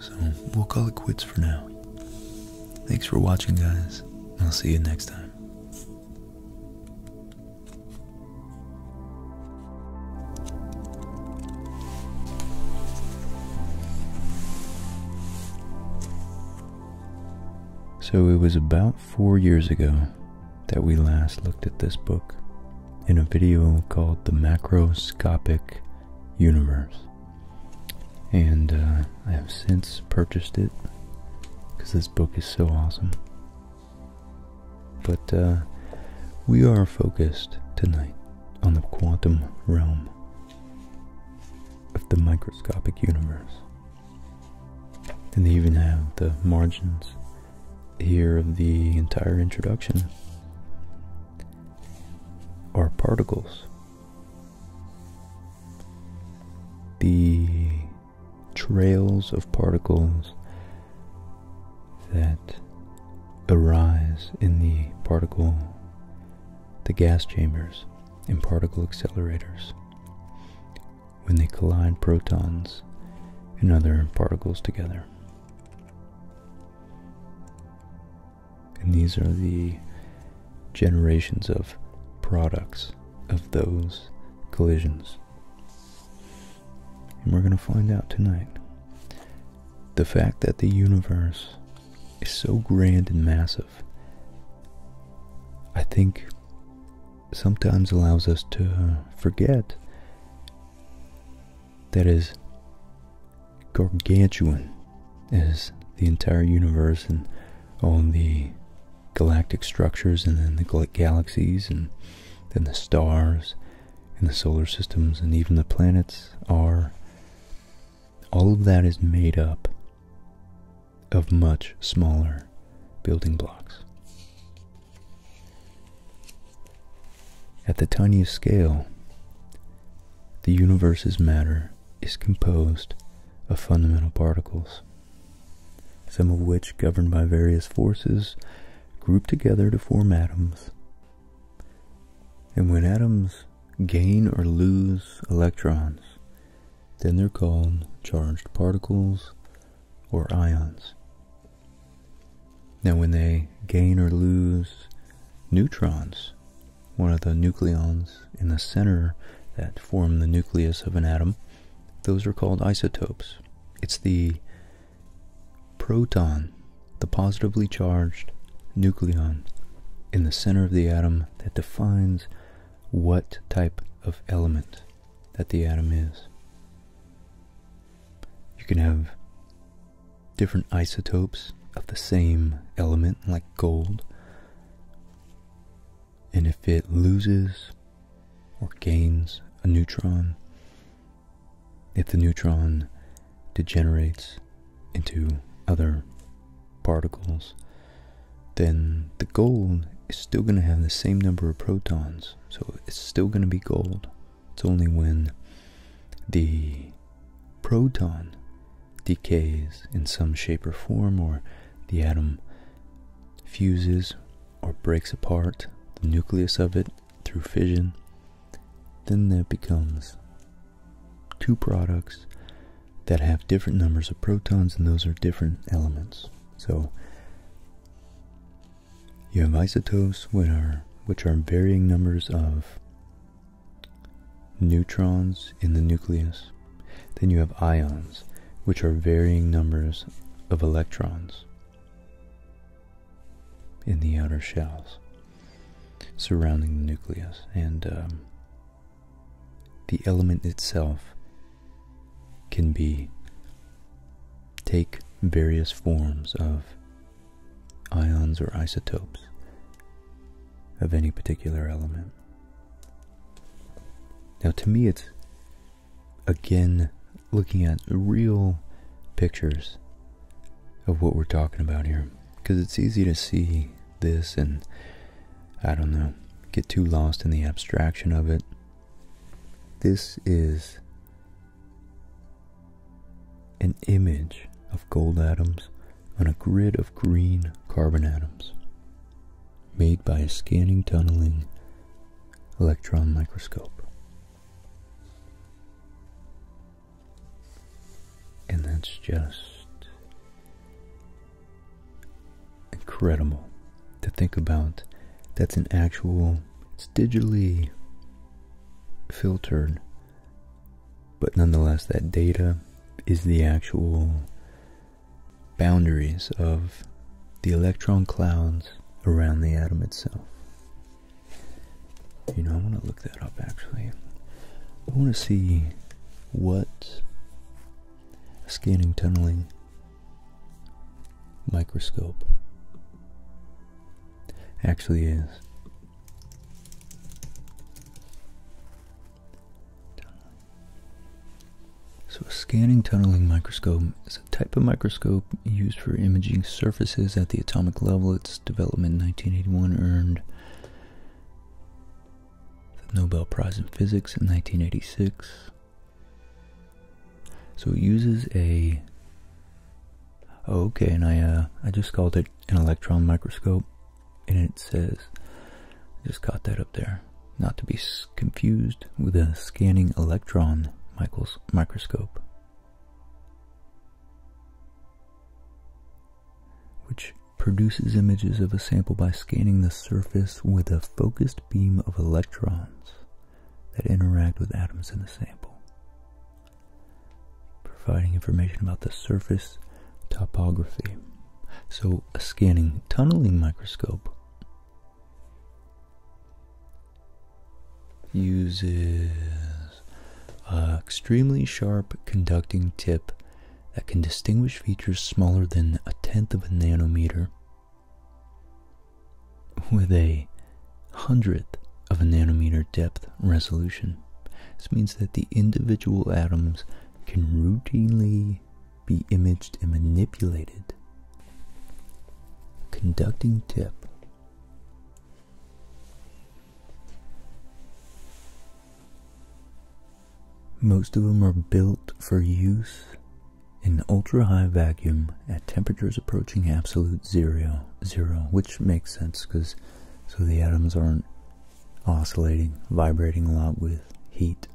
So we'll call it quits for now. Thanks for watching, guys. I'll see you next time. So it was about four years ago that we last looked at this book in a video called The Macroscopic universe. And uh, I have since purchased it because this book is so awesome. But uh, we are focused tonight on the quantum realm of the microscopic universe. And they even have the margins here of the entire introduction are particles. The trails of particles that arise in the particle, the gas chambers, and particle accelerators when they collide protons and other particles together. And these are the generations of products of those collisions. And we're going to find out tonight. The fact that the universe is so grand and massive, I think sometimes allows us to forget that is gargantuan as the entire universe and all the galactic structures and then the galaxies and then the stars and the solar systems and even the planets are all of that is made up of much smaller building blocks at the tiniest scale, the universe's matter is composed of fundamental particles, some of which, governed by various forces, group together to form atoms. And when atoms gain or lose electrons, then they're called charged particles or ions. Now, when they gain or lose neutrons one of the nucleons in the center that form the nucleus of an atom, those are called isotopes. It's the proton, the positively charged nucleon in the center of the atom that defines what type of element that the atom is. You can have different isotopes of the same element, like gold. And if it loses or gains a neutron, if the neutron degenerates into other particles, then the gold is still going to have the same number of protons. So it's still going to be gold. It's only when the proton decays in some shape or form, or the atom fuses or breaks apart, the nucleus of it through fission, then that becomes two products that have different numbers of protons, and those are different elements. So you have isotopes, which are, varying numbers of neutrons in the nucleus. Then you have ions, which are varying numbers of electrons in the outer shells surrounding the nucleus. And um, the element itself can be take various forms of ions or isotopes of any particular element. Now, to me, it's again looking at real pictures of what we're talking about here because it's easy to see this and I don't know, get too lost in the abstraction of it. This is an image of gold atoms on a grid of green carbon atoms made by a scanning tunneling electron microscope. And that's just incredible to think about. That's an actual, it's digitally filtered but nonetheless, that data is the actual boundaries of the electron clouds around the atom itself. You know, I want to look that up actually. I want to see what scanning tunneling microscope actually is. So a scanning tunneling microscope is a type of microscope used for imaging surfaces at the atomic level. Its development in 1981 earned the Nobel Prize in Physics in 1986. So it uses a oh, okay, and I uh, I just called it an electron microscope and it says, just caught that up there, not to be confused with a scanning electron microscope, which produces images of a sample by scanning the surface with a focused beam of electrons that interact with atoms in the sample providing information about the surface topography. So a scanning tunneling microscope uses an extremely sharp conducting tip that can distinguish features smaller than a tenth of a nanometer with a hundredth of a nanometer depth resolution. This means that the individual atoms can routinely be imaged and manipulated. Conducting tip. Most of them are built for use in ultra high vacuum at temperatures approaching absolute zero, zero which makes sense because so the atoms aren't oscillating, vibrating a lot with heat.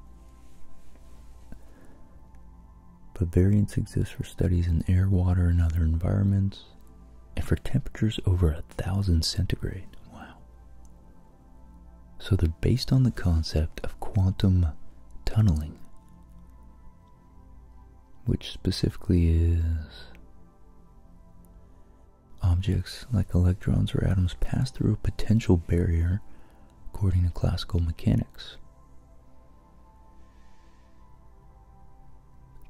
But variants exist for studies in air, water, and other environments, and for temperatures over a thousand centigrade. Wow. So they're based on the concept of quantum tunneling, which specifically is Objects like electrons or atoms pass through a potential barrier according to classical mechanics.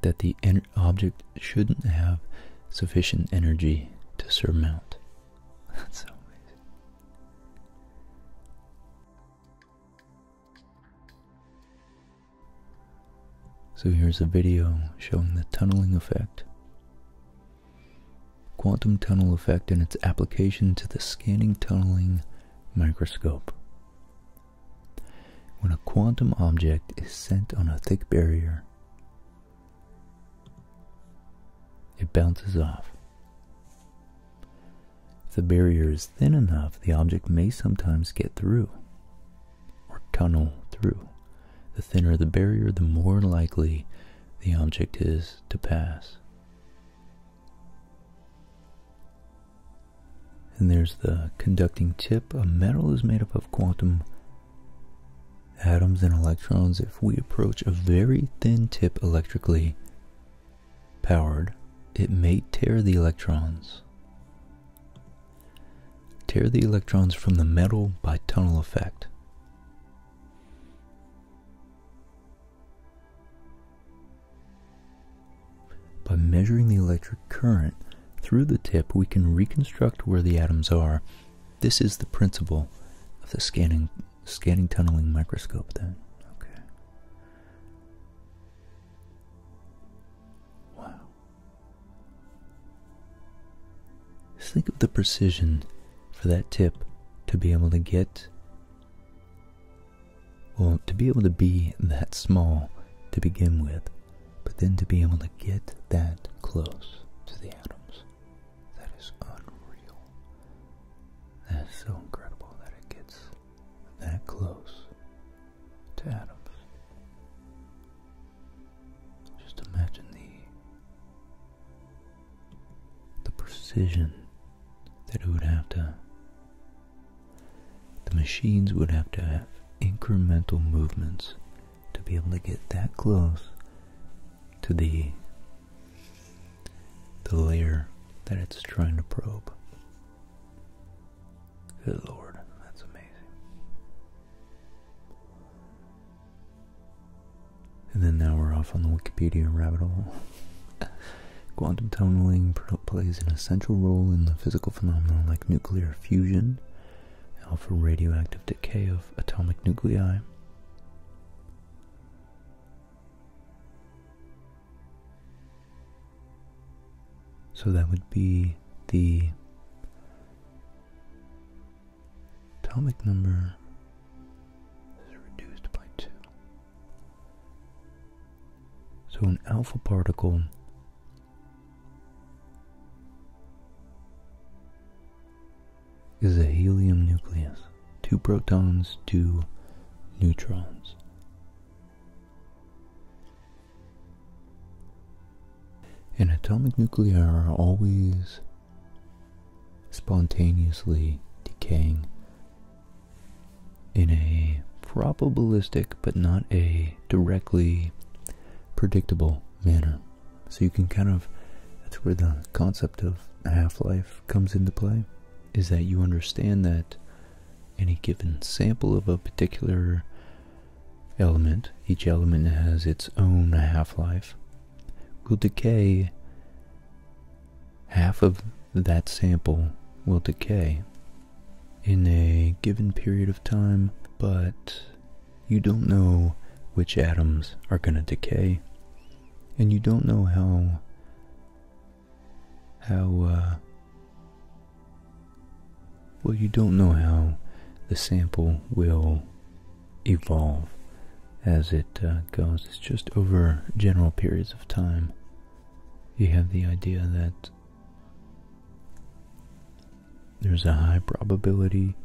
That the object shouldn't have sufficient energy to surmount. That's so amazing. So here's a video showing the tunneling effect quantum tunnel effect and its application to the scanning tunneling microscope. When a quantum object is sent on a thick barrier, it bounces off. If the barrier is thin enough, the object may sometimes get through or tunnel through the thinner the barrier, the more likely the object is to pass. And there's the conducting tip. A metal is made up of quantum atoms and electrons. If we approach a very thin tip electrically powered, it may tear the electrons. Tear the electrons from the metal by tunnel effect. By measuring the electric current through the tip, we can reconstruct where the atoms are. This is the principle of the scanning, scanning tunneling microscope then. Okay. Wow think of the precision for that tip to be able to get, well, to be able to be that small to begin with, but then to be able to get that close to the atoms. That is unreal. That is so incredible that it gets that close to atoms. Just imagine the the precision that it would have to the machines would have to have incremental movements to be able to get that close to the the layer that it's trying to probe. Good lord, that's amazing. And then now we're off on the Wikipedia rabbit hole. Quantum tunneling plays an essential role in the physical phenomena like nuclear fusion, alpha radioactive decay of atomic nuclei, So that would be the Atomic number is reduced by 2. So an alpha particle is a helium nucleus. Two protons, two neutrons. And atomic nuclei are always spontaneously decaying in a probabilistic but not a directly predictable manner. So you can kind of, that's where the concept of half-life comes into play, is that you understand that any given sample of a particular element, each element has its own half-life, will decay. Half of that sample will decay in a given period of time, but you don't know which atoms are going to decay, and you don't know how how uh, well you don't know how the sample will evolve as it uh, goes. It's just over general periods of time. You have the idea that there's a high probability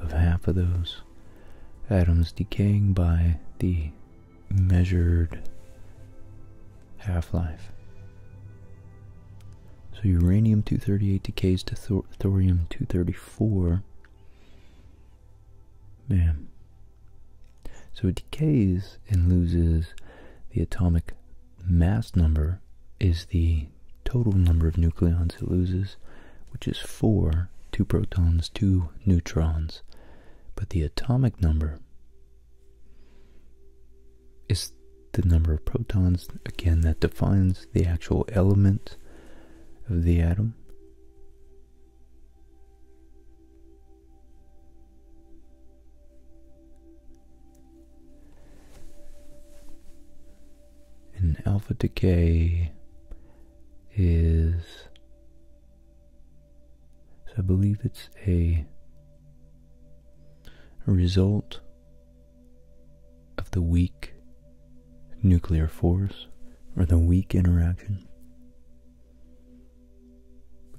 of half of those atoms decaying by the measured half-life. So uranium-238 decays to thorium-234 yeah. So it decays and loses the atomic mass number is the total number of nucleons it loses, which is 4, 2 protons, 2 neutrons. But the atomic number is the number of protons, again, that defines the actual element of the atom, and alpha decay is, I believe it's a result of the weak nuclear force or the weak interaction?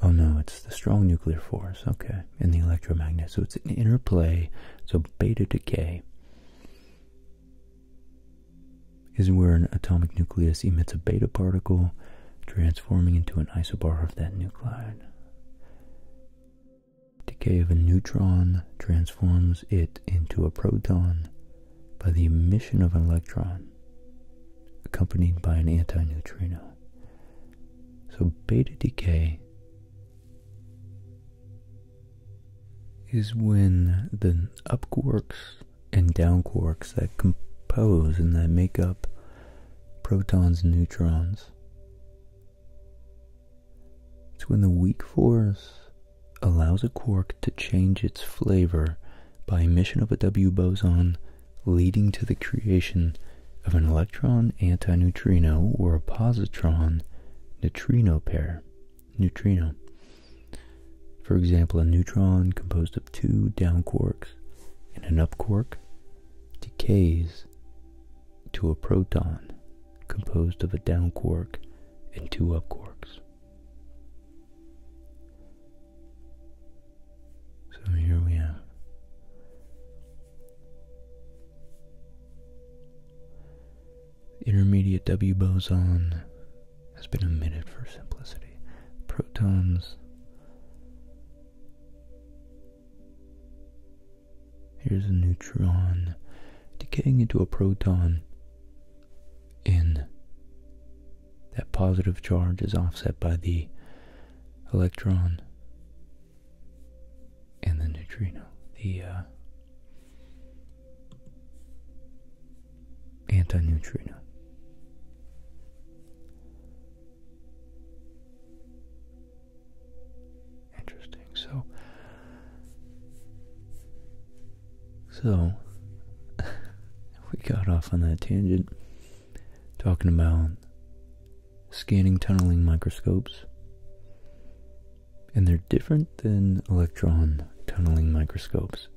Oh no, it's the strong nuclear force, okay, and the electromagnet. So it's an interplay, so beta decay is where an atomic nucleus emits a beta particle, transforming into an isobar of that nuclide. Decay of a neutron transforms it into a proton, by the emission of an electron accompanied by an antineutrino. So beta decay is when the up quarks and down quarks that compose and that make up protons and neutrons. It's when the weak force allows a quark to change its flavor by emission of a W boson, leading to the creation of an electron antineutrino or a positron neutrino pair. Neutrino. For example, a neutron composed of two down quarks and an up quark decays to a proton composed of a down quark and two up quarks. So here we have intermediate W boson has been omitted for simplicity. Protons. Here's a neutron decaying into a proton in. That positive charge is offset by the electron and the neutrino, the uh, antineutrino. Interesting. So so, we got off on that tangent talking about scanning tunneling microscopes. And they're different than electron tunneling microscopes.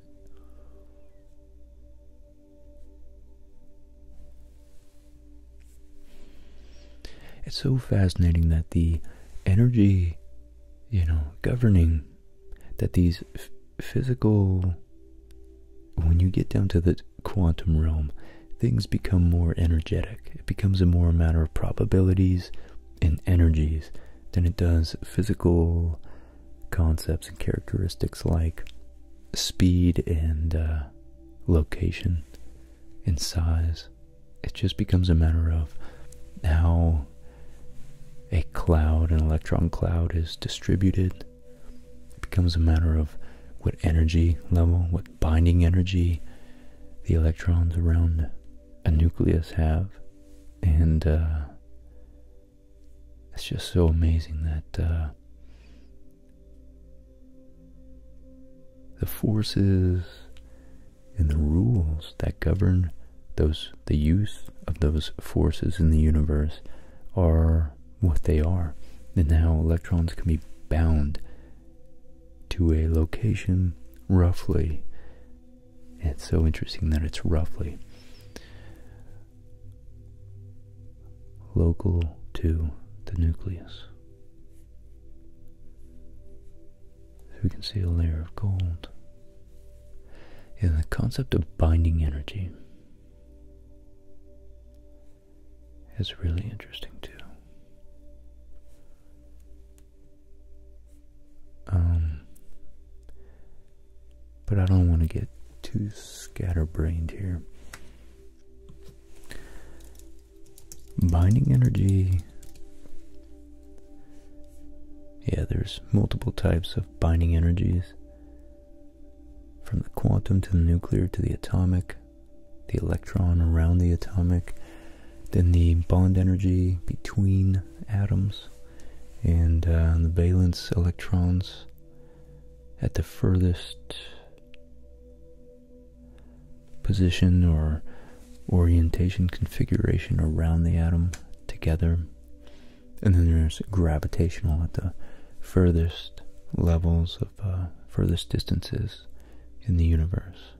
It's so fascinating that the energy, you know, governing that these physical when you get down to the quantum realm things become more energetic it becomes a more matter of probabilities and energies than it does physical concepts and characteristics like speed and uh, location and size it just becomes a matter of how a cloud, an electron cloud, is distributed. It becomes a matter of what energy level, what binding energy the electrons around a nucleus have. And uh, it's just so amazing that uh, the forces and the rules that govern those the use of those forces in the universe are what they are, and how electrons can be bound to a location roughly. It's so interesting that it's roughly local to the nucleus. we can see a layer of gold is the concept of binding energy is really interesting too. Um, but I don't want to get too scatterbrained here. Binding energy yeah, there's multiple types of binding energies from the quantum to the nuclear to the atomic, the electron around the atomic, then the bond energy between atoms, and uh, the valence electrons at the furthest position or orientation configuration around the atom together and then there's gravitational at the furthest levels of uh, furthest distances in the universe.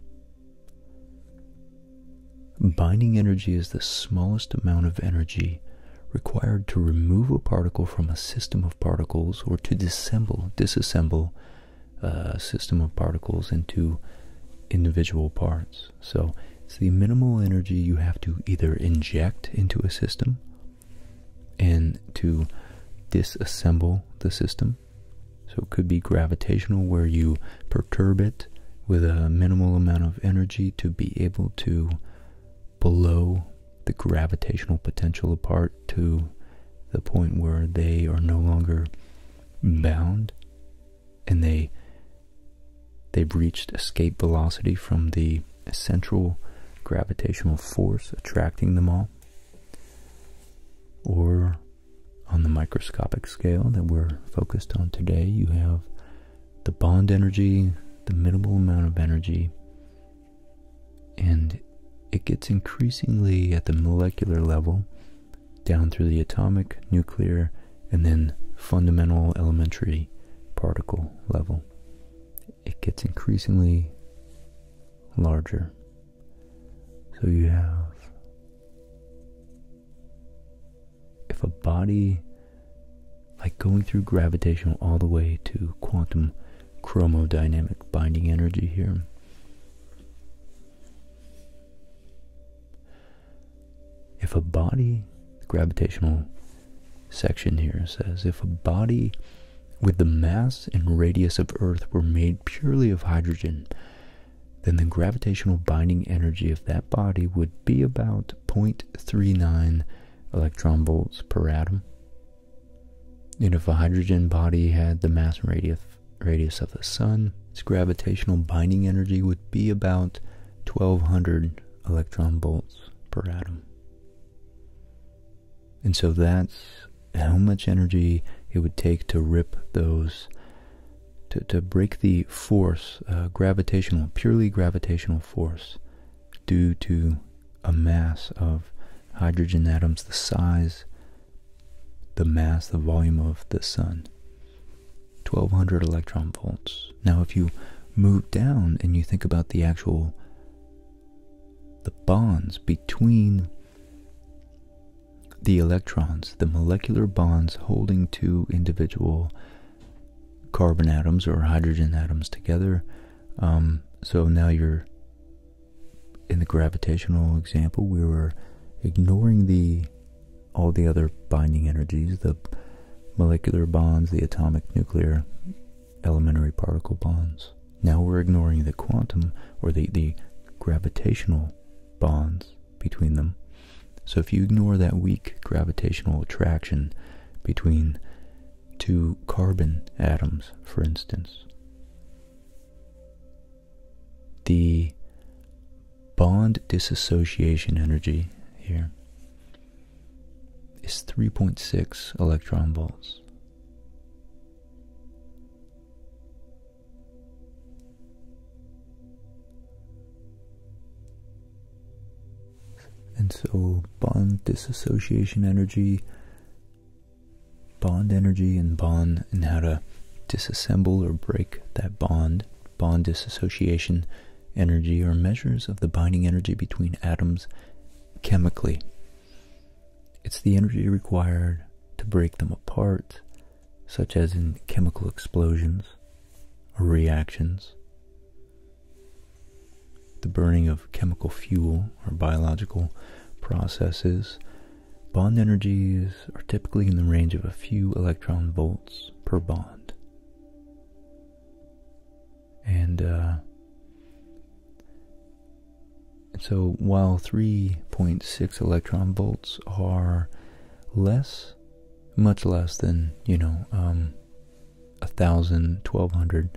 Binding energy is the smallest amount of energy required to remove a particle from a system of particles or to disassemble, disassemble uh, a system of particles into individual parts. So it's the minimal energy you have to either inject into a system and to disassemble the system. So it could be gravitational, where you perturb it with a minimal amount of energy to be able to blow the gravitational potential apart to the point where they are no longer bound and they they've reached escape velocity from the central gravitational force attracting them all or on the microscopic scale that we're focused on today you have the bond energy the minimal amount of energy and it gets increasingly at the molecular level down through the atomic nuclear and then fundamental elementary particle level, it gets increasingly larger. So you have, if a body, like going through gravitational all the way to quantum chromodynamic binding energy here if a body, the gravitational section here says, if a body with the mass and radius of Earth were made purely of hydrogen, then the gravitational binding energy of that body would be about 0.39 electron volts per atom. And if a hydrogen body had the mass and radius, radius of the sun, its gravitational binding energy would be about 1200 electron volts per atom. And so that's how much energy it would take to rip those, to, to break the force, uh, gravitational, purely gravitational force due to a mass of hydrogen atoms the size, the mass, the volume of the sun. 1200 electron volts. Now, if you move down and you think about the actual the bonds between the electrons, the molecular bonds holding two individual carbon atoms or hydrogen atoms together. Um, so now you're in the gravitational example, we were ignoring the all the other binding energies, the molecular bonds, the atomic, nuclear, elementary particle bonds. Now we're ignoring the quantum or the, the gravitational bonds between them. So if you ignore that weak gravitational attraction between two carbon atoms, for instance, the bond dissociation energy here is 3.6 electron volts. And so bond dissociation energy, bond energy and bond and how to disassemble or break that bond, bond dissociation energy or measures of the binding energy between atoms chemically. It's the energy required to break them apart, such as in chemical explosions or reactions, the burning of chemical fuel or biological processes. Bond energies are typically in the range of a few electron volts per bond. And uh, so while 3.6 electron volts are less, much less than, you know, um, 1,000, 1,200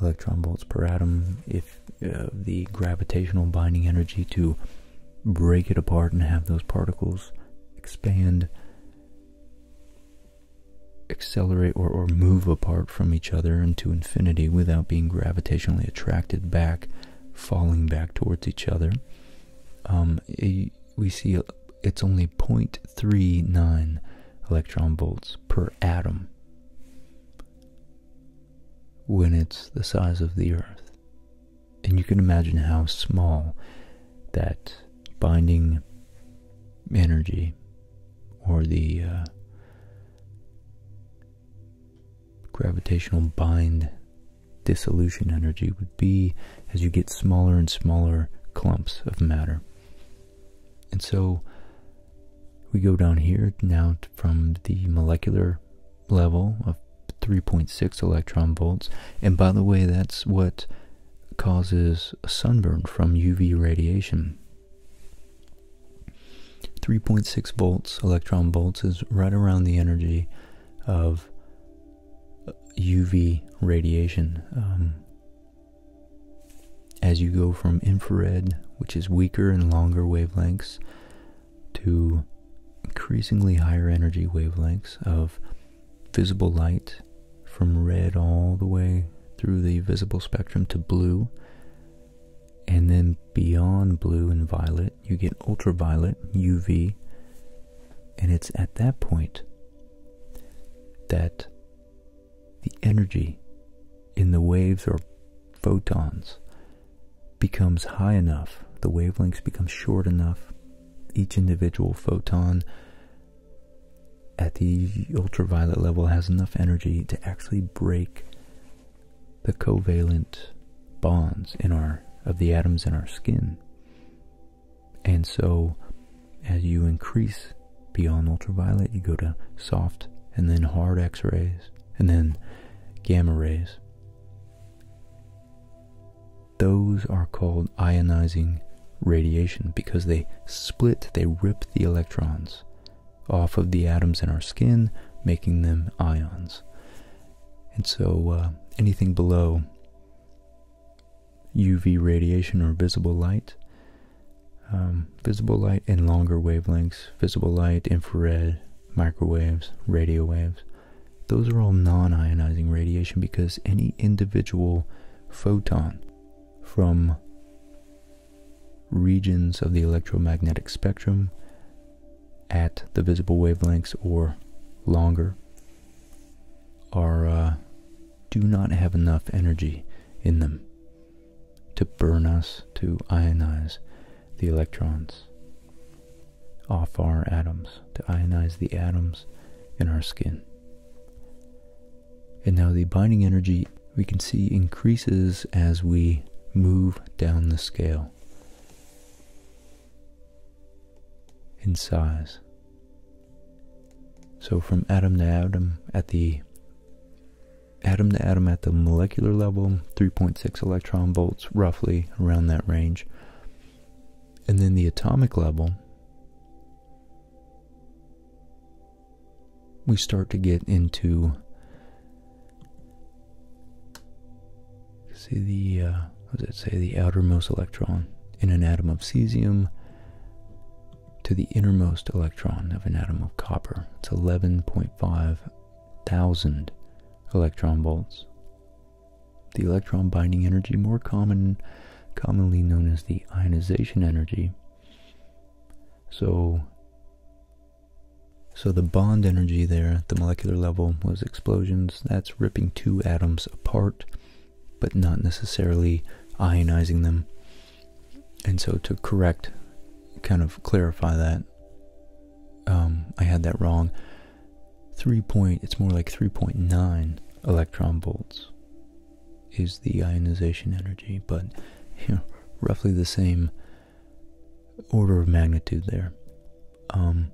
electron volts per atom, if uh, the gravitational binding energy to break it apart and have those particles expand accelerate or, or move apart from each other into infinity without being gravitationally attracted back, falling back towards each other. Um, we see it's only 0.39 electron volts per atom when it's the size of the Earth. And you can imagine how small that binding energy or the uh, gravitational bind dissolution energy would be as you get smaller and smaller clumps of matter. And so we go down here now from the molecular level of 3.6 electron volts. And by the way, that's what causes sunburn from UV radiation. 3.6 volts, electron volts, is right around the energy of UV uh, radiation. Um, as you go from infrared, which is weaker and longer wavelengths, to increasingly higher energy wavelengths of visible light from red all the way through the visible spectrum to blue. And then beyond blue and violet, you get ultraviolet, UV. And it's at that point that the energy in the waves or photons becomes high enough, the wavelengths become short enough, each individual photon at the ultraviolet level has enough energy to actually break the covalent bonds in our of the atoms in our skin. And so as you increase beyond ultraviolet, you go to soft and then hard x-rays and then gamma rays. Those are called ionizing radiation because they split, they rip the electrons off of the atoms in our skin, making them ions. And so uh, anything below UV radiation or visible light, um, visible light and longer wavelengths, visible light, infrared, microwaves, radio waves, those are all non ionizing radiation because any individual photon from regions of the electromagnetic spectrum at the visible wavelengths or longer are uh, do not have enough energy in them to burn us to ionize the electrons off our atoms to ionize the atoms in our skin and now the binding energy we can see increases as we move down the scale in size. So from atom to atom at the atom to atom at the molecular level, 3.6 electron volts, roughly around that range. And then the atomic level, we start to get into see the uh, what does it say the outermost electron in an atom of cesium to the innermost electron of an atom of copper. It's 11.5 thousand electron volts. The electron binding energy, more common, commonly known as the ionization energy, so so the bond energy there at the molecular level was explosions. That's ripping two atoms apart, but not necessarily ionizing them. And so to correct, kind of clarify that, um, I had that wrong. Three point, it's more like 3.9 electron volts is the ionization energy, but roughly the same order of magnitude there. Um,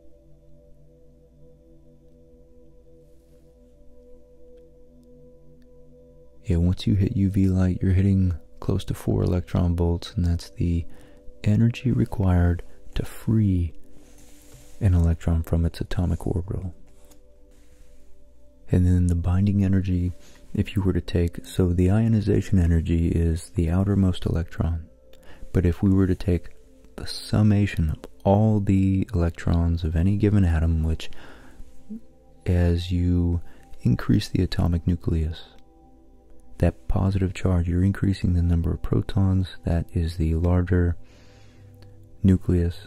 yeah, once you hit UV light, you're hitting close to 4 electron volts, and that's the energy required to free an electron from its atomic orbital. And then the binding energy, if you were to take, so the ionization energy is the outermost electron. But if we were to take the summation of all the electrons of any given atom, which as you increase the atomic nucleus, that positive charge, you're increasing the number of protons, that is the larger nucleus,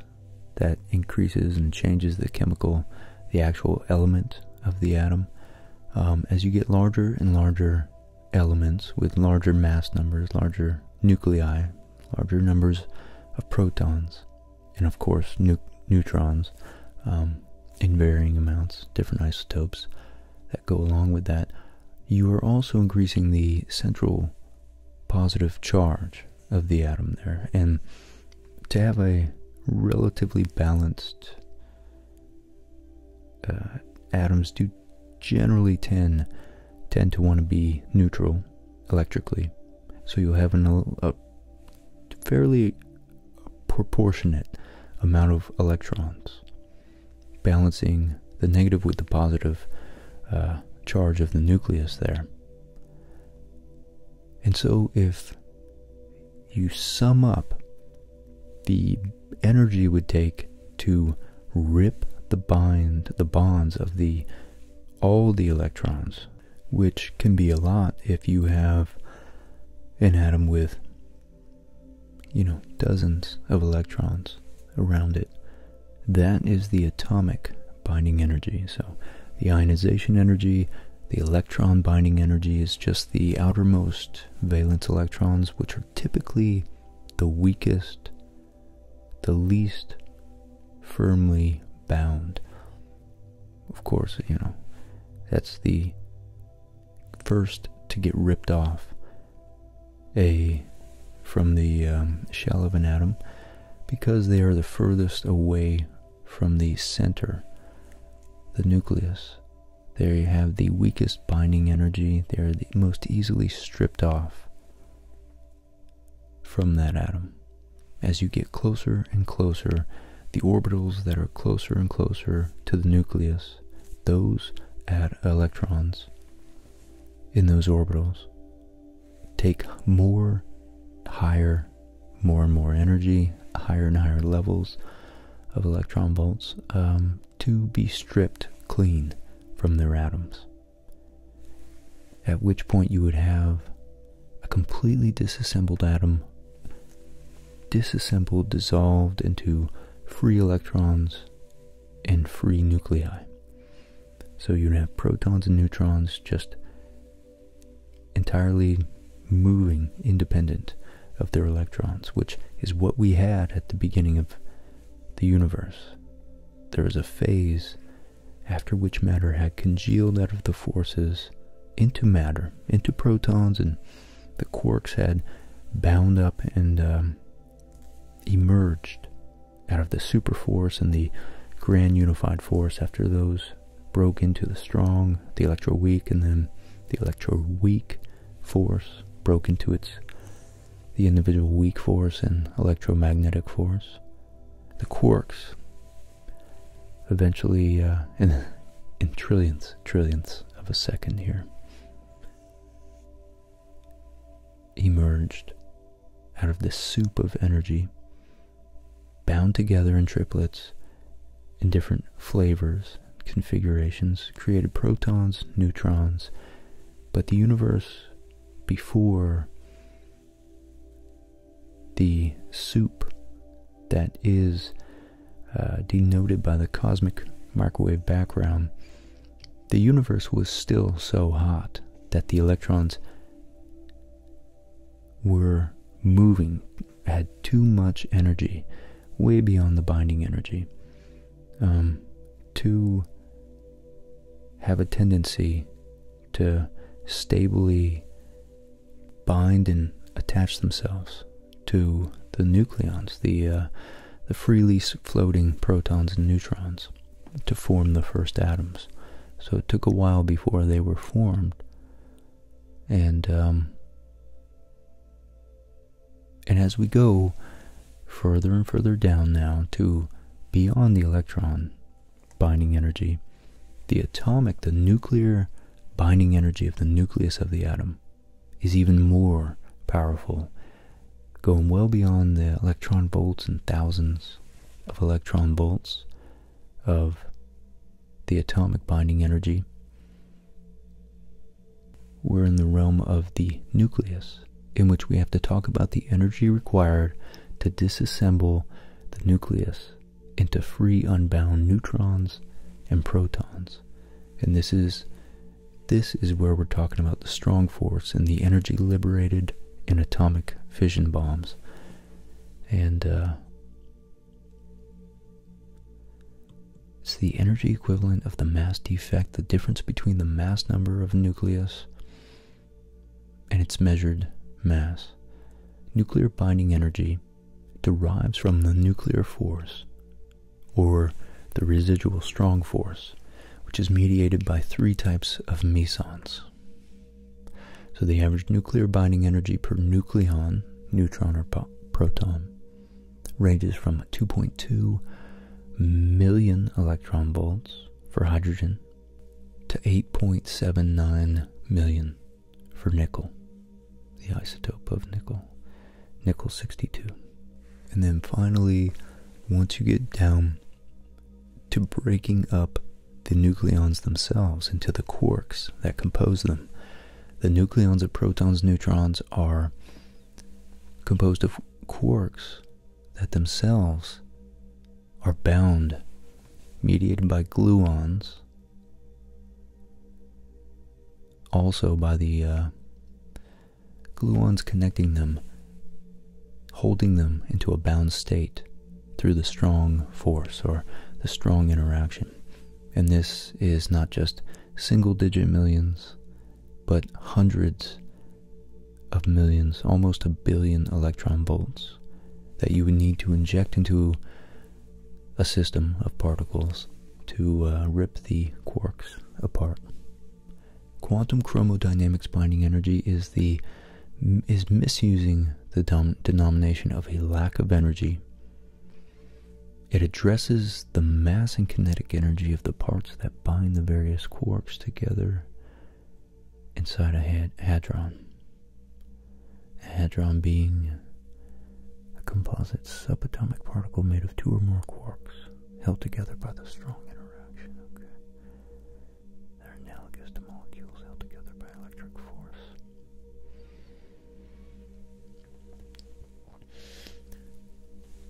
that increases and changes the chemical, the actual element of the atom. Um, as you get larger and larger elements with larger mass numbers, larger nuclei, larger numbers of protons, and of course neutrons um, in varying amounts, different isotopes that go along with that, you are also increasing the central positive charge of the atom there. And to have a relatively balanced uh, atoms do generally tend tend to want to be neutral electrically. So you'll have a fairly proportionate amount of electrons balancing the negative with the positive uh, charge of the nucleus there. And so, if you sum up the energy it would take to rip the bind, the bonds of the all the electrons, which can be a lot if you have an atom with, you know, dozens of electrons around it. That is the atomic binding energy. So the ionization energy the electron binding energy is just the outermost valence electrons, which are typically the weakest, the least firmly bound. Of course, you know, that's the first to get ripped off a from the um, shell of an atom because they are the furthest away from the center, the nucleus. They have the weakest binding energy. They are the most easily stripped off from that atom. As you get closer and closer, the orbitals that are closer and closer to the nucleus, those add electrons in those orbitals take more higher more and more energy, higher and higher levels of electron volts, um, to be stripped clean from their atoms. At which point you would have a completely disassembled atom, disassembled, dissolved into free electrons and free nuclei. So you'd have protons and neutrons just entirely moving independent of their electrons, which is what we had at the beginning of the universe. There was a phase after which matter had congealed out of the forces into matter, into protons, and the quarks had bound up and um, emerged out of the superforce and the grand unified force after those broke into the strong, the electroweak, and then the electroweak force broke into its the individual weak force and electromagnetic force. The quarks eventually uh, in in trillions, trillions of a second here emerged out of this soup of energy bound together in triplets in different flavors, configurations, created protons, neutrons, but the universe before the soup that is uh, denoted by the cosmic microwave background, the universe was still so hot that the electrons were moving had too much energy, way beyond the binding energy, um, to have a tendency to stably bind and attach themselves to the nucleons, the uh, the freely floating protons and neutrons, to form the first atoms. So it took a while before they were formed, and um, and as we go further and further down now to beyond the electron binding energy, the atomic, the nuclear binding energy of the nucleus of the atom is even more powerful, going well beyond the electron volts and thousands of electron volts of the atomic binding energy. We're in the realm of the nucleus, in which we have to talk about the energy required to disassemble the nucleus into free unbound neutrons and protons. And this is this is where we're talking about the strong force and the energy liberated in atomic fission bombs. And uh, it's the energy equivalent of the mass defect, the difference between the mass number of a nucleus and its measured mass. Nuclear binding energy derives from the nuclear force or the residual strong force, which is mediated by three types of mesons. So the average nuclear binding energy per nucleon, neutron or proton, ranges from 2.2 million electron volts for hydrogen to 8.79 million for nickel, the isotope of nickel, nickel 62. And then finally, once you get down to breaking up the nucleons themselves into the quarks that compose them, the nucleons of protons, neutrons are composed of quarks that themselves are bound, mediated by gluons, also by the uh, gluons connecting them, holding them into a bound state through the strong force or the strong interaction. And this is not just single digit millions, but hundreds of millions, almost a billion electron volts that you would need to inject into a system of particles to uh, rip the quarks apart. Quantum chromodynamics binding energy is the is misusing the denomination of a lack of energy it addresses the mass and kinetic energy of the parts that bind the various quarks together inside a hadron. A hadron being a composite subatomic particle made of two or more quarks held together by the strong interaction. They're analogous to molecules held together by electric force.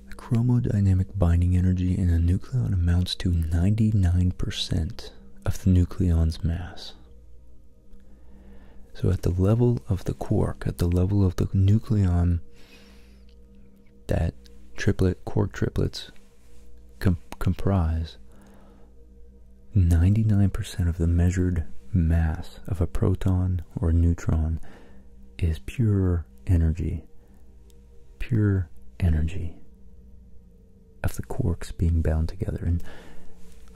The chromodynamic binding energy in a nucleon amounts to 99% of the nucleon's mass. So at the level of the quark, at the level of the nucleon, that triplet quark triplets comprise, 99% of the measured mass of a proton or a neutron is pure energy. Pure energy of the quarks being bound together. And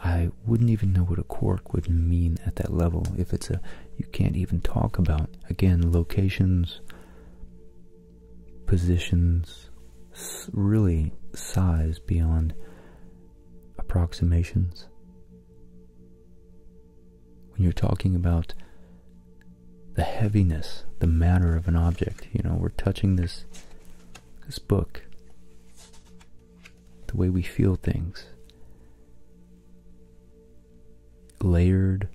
I wouldn't even know what a quark would mean at that level. If it's a, you can't even talk about, again, locations, positions, really size beyond approximations. When you're talking about the heaviness, the matter of an object, you know, we're touching this this book, the way we feel things, layered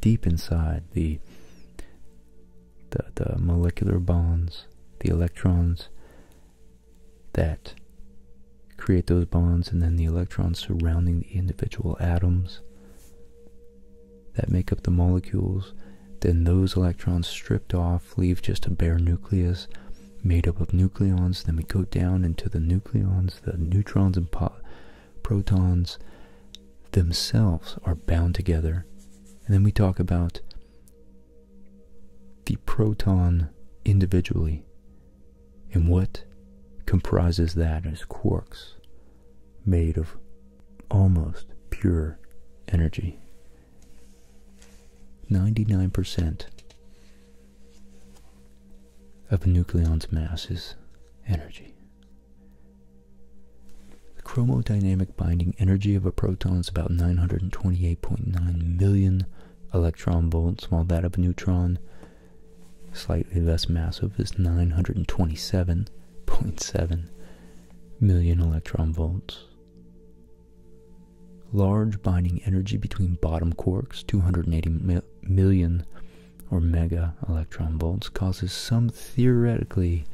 deep inside the the, molecular bonds, the electrons that create those bonds and then the electrons surrounding the individual atoms that make up the molecules then those electrons stripped off leave just a bare nucleus made up of nucleons then we go down into the nucleons the neutrons and protons themselves are bound together and then we talk about the proton individually, and what comprises that is quarks made of almost pure energy. 99% of a nucleon's mass is energy. The chromodynamic binding energy of a proton is about 928.9 million electron volts, while that of a neutron, slightly less massive, is 927.7 million electron volts. Large binding energy between bottom quarks, 280 million or mega electron volts, causes some theoretically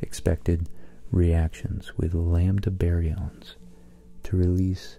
expected reactions with lambda baryons to release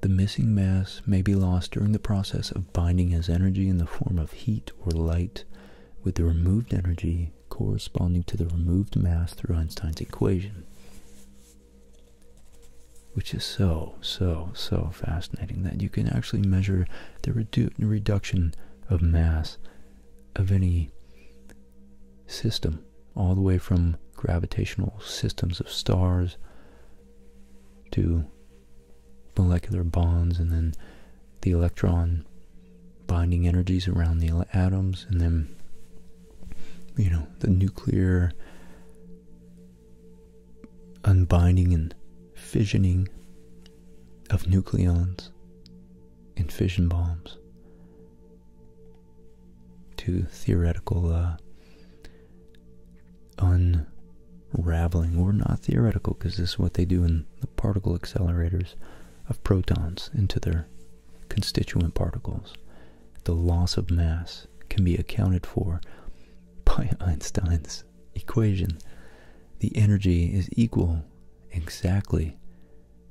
The missing mass may be lost during the process of binding as energy in the form of heat or light with the removed energy corresponding to the removed mass through Einstein's equation. Which is so, so, so fascinating that you can actually measure the reduction of mass of any system, all the way from gravitational systems of stars to molecular bonds, and then the electron binding energies around the atoms, and then you know the nuclear unbinding and fissioning of nucleons in fission bombs to theoretical uh, unraveling, or not theoretical, because this is what they do in the particle accelerators of protons into their constituent particles. The loss of mass can be accounted for by Einstein's equation, the energy is equal exactly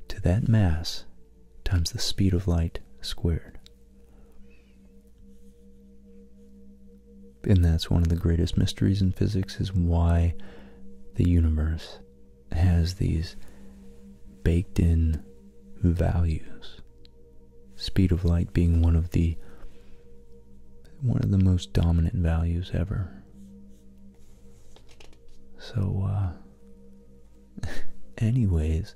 to that mass times the speed of light squared. And that's one of the greatest mysteries in physics is why the universe has these baked in values. Speed of light being one of the one of the most dominant values ever. So, uh, anyways,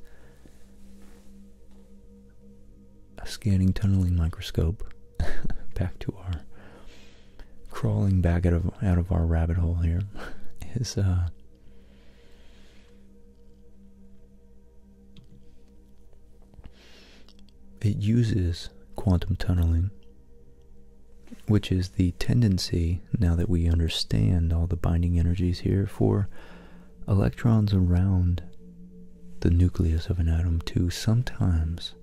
a scanning tunneling microscope. back to our crawling back out of out of our rabbit hole here is uh it uses quantum tunneling, which is the tendency, now that we understand all the binding energies here, for electrons around the nucleus of an atom to sometimes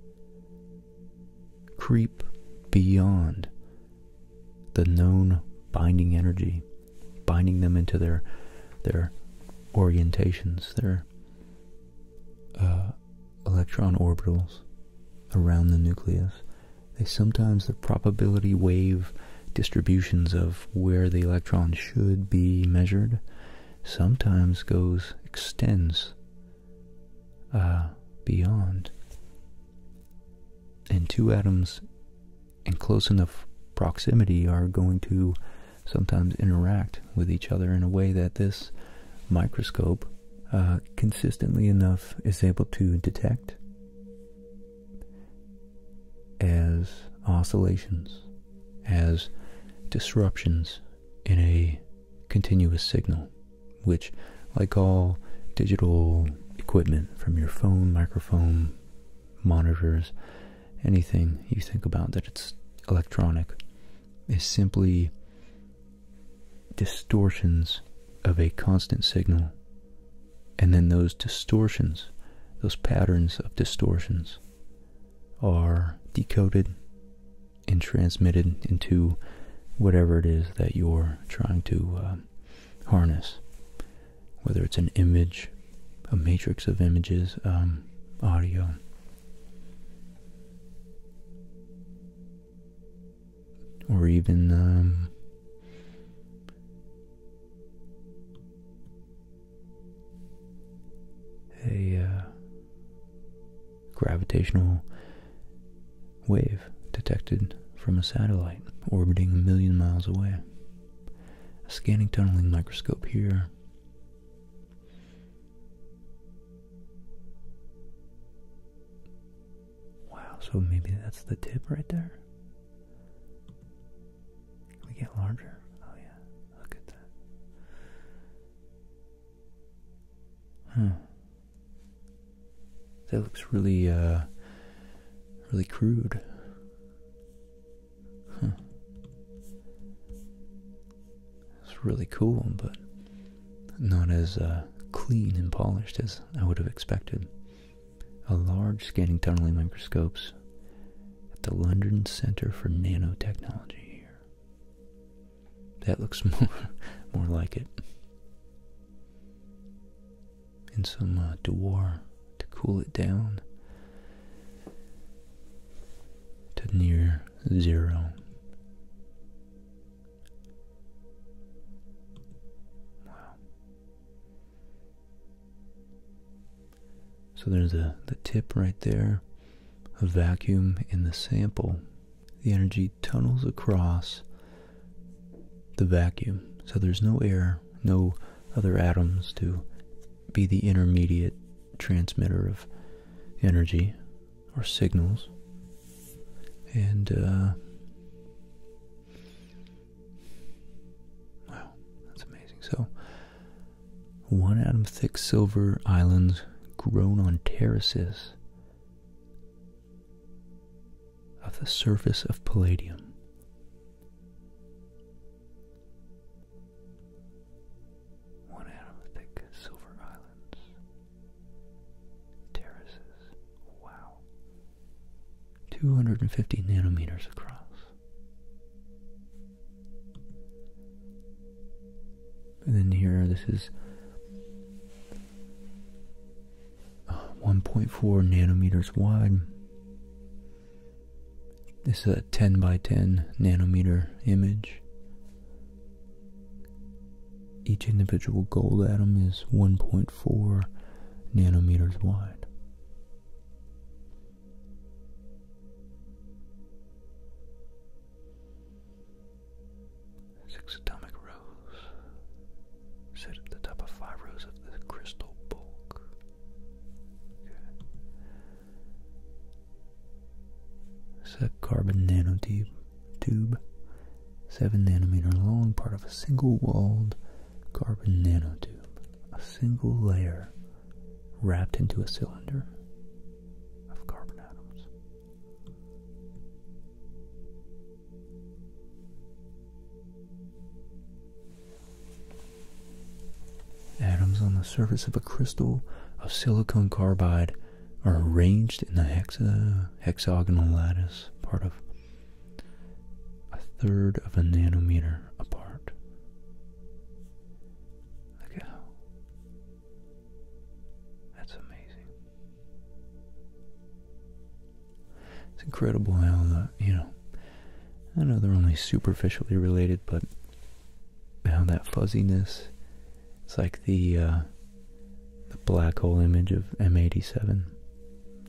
creep beyond the known binding energy, binding them into their their orientations, their uh, electron orbitals around the nucleus, they sometimes, the probability wave distributions of where the electron should be measured sometimes goes, extends uh, beyond. And two atoms in close enough proximity are going to sometimes interact with each other in a way that this microscope uh, consistently enough is able to detect as oscillations, as disruptions in a continuous signal, which, like all digital equipment from your phone, microphone, monitors, anything you think about that it's electronic, is simply distortions of a constant signal. And then those distortions, those patterns of distortions, are decoded and transmitted into whatever it is that you're trying to um, harness. Whether it's an image, a matrix of images, um, audio, or even um, a uh, gravitational wave detected from a satellite orbiting a million miles away. A scanning tunneling microscope here. Wow, so maybe that's the tip right there? We get larger. Oh yeah, look at that. Hmm. That looks really, uh, really crude. Huh. It's really cool, but not as uh, clean and polished as I would have expected. A large scanning tunneling microscopes at the London Centre for Nanotechnology here. That looks more, more like it. And some uh, Dewar to cool it down to near zero. Wow. So there's a, the tip right there, a vacuum in the sample. The energy tunnels across the vacuum. So there's no air, no other atoms to be the intermediate transmitter of energy or signals, and uh, wow, that's amazing. So, one atom thick silver islands grown on terraces of the surface of palladium one atom thick silver islands, terraces, wow, 250 nanometers across. And then here, this is uh, 1.4 nanometers wide. This is a 10 by 10 nanometer image. Each individual gold atom is 1.4 nanometers wide. Six atomic rows sit at the top of five rows of the crystal bulk. It's a carbon nanotube tube, 7 nanometer long, part of a single walled carbon nanotube. A single layer wrapped into a cylinder of carbon atoms. Atoms on the surface of a crystal of silicon carbide are arranged in a hexagonal lattice, part of a third of a nanometer apart. Look at how that's amazing. It's incredible how you know I know they're only superficially related, but how that fuzziness it's like the uh, the black hole image of M87.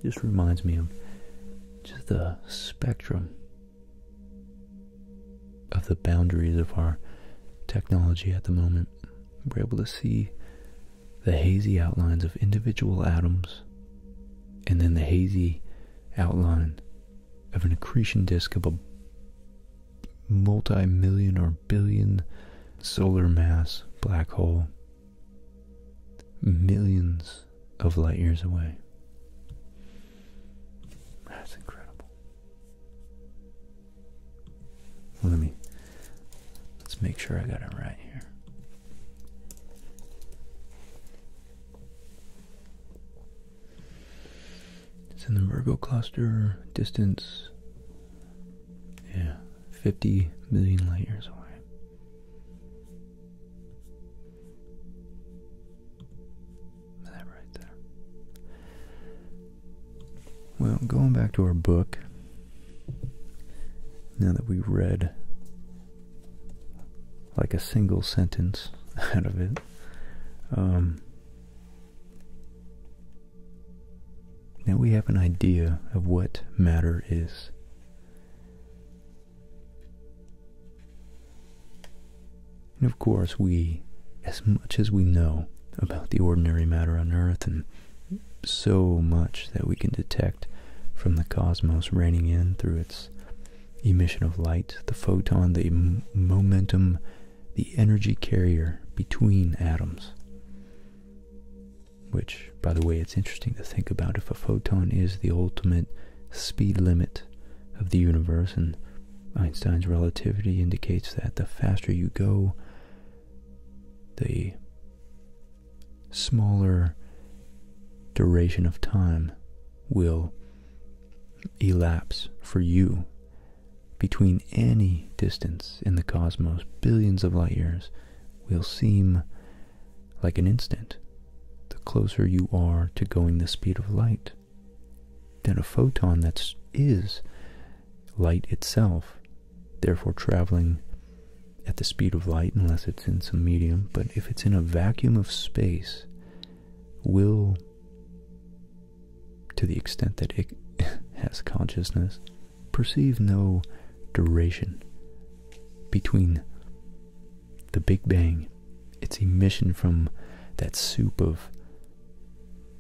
Just reminds me of just the spectrum of the boundaries of our technology at the moment. We're able to see the hazy outlines of individual atoms and then the hazy outline of an accretion disk of a multi million or billion solar mass black hole, millions of light years away. That's incredible. let me let's make sure I got it right here. It's in the Virgo cluster, distance, yeah, 50 million light years away. That right there. Well, going back to our book, now that we've read like a single sentence out of it, um, now we have an idea of what matter is. And of course, we, as much as we know about the ordinary matter on Earth and so much that we can detect from the cosmos raining in through its emission of light, the photon, the momentum the energy carrier between atoms. Which, by the way, it's interesting to think about if a photon is the ultimate speed limit of the universe, and Einstein's relativity indicates that the faster you go, the smaller duration of time will elapse for you between any distance in the cosmos, billions of light years, will seem like an instant the closer you are to going the speed of light. Then a photon that is light itself, therefore traveling at the speed of light unless it's in some medium, but if it's in a vacuum of space, will to the extent that it has consciousness, perceive no duration between the Big Bang, its emission from that soup of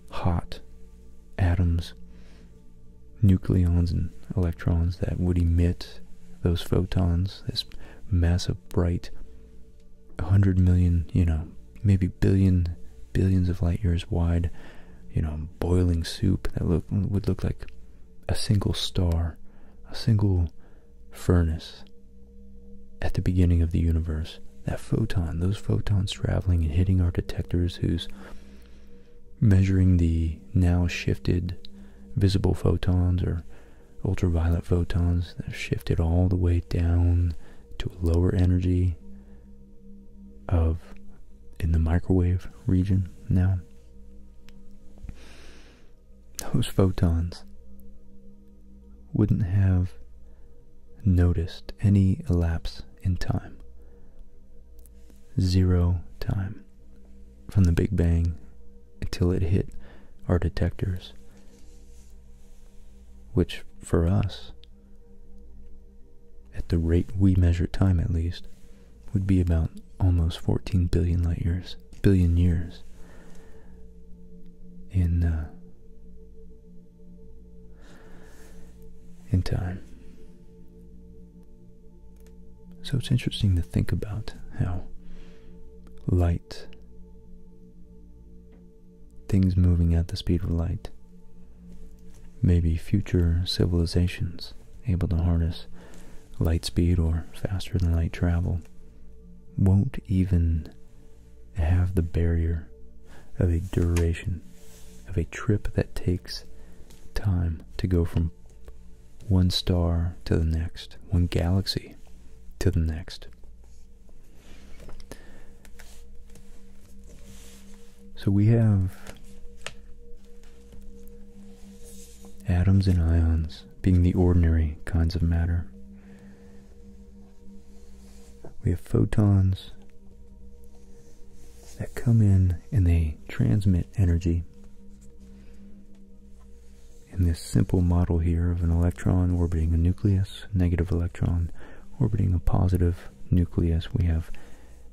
hot atoms, nucleons, and electrons that would emit those photons, this massive, bright, 100 million, you know, maybe billion billions of light years wide, you know, boiling soup that would look like a single star, a single furnace at the beginning of the universe. That photon, those photons traveling and hitting our detectors who's measuring the now shifted visible photons or ultraviolet photons that shifted all the way down to a lower energy of in the microwave region now. Those photons wouldn't have noticed any elapse in time. Zero time from the Big Bang until it hit our detectors, which for us at the rate we measure time at least, would be about almost 14 billion light years, billion years in uh, in time. So it's interesting to think about how light, things moving at the speed of light, Maybe future civilizations able to harness light speed or faster than light travel won't even have the barrier of a duration of a trip that takes time to go from one star to the next, one galaxy to the next. So we have atoms and ions being the ordinary kinds of matter. We have photons that come in and they transmit energy. In this simple model here of an electron orbiting a nucleus, negative electron orbiting a positive nucleus, we have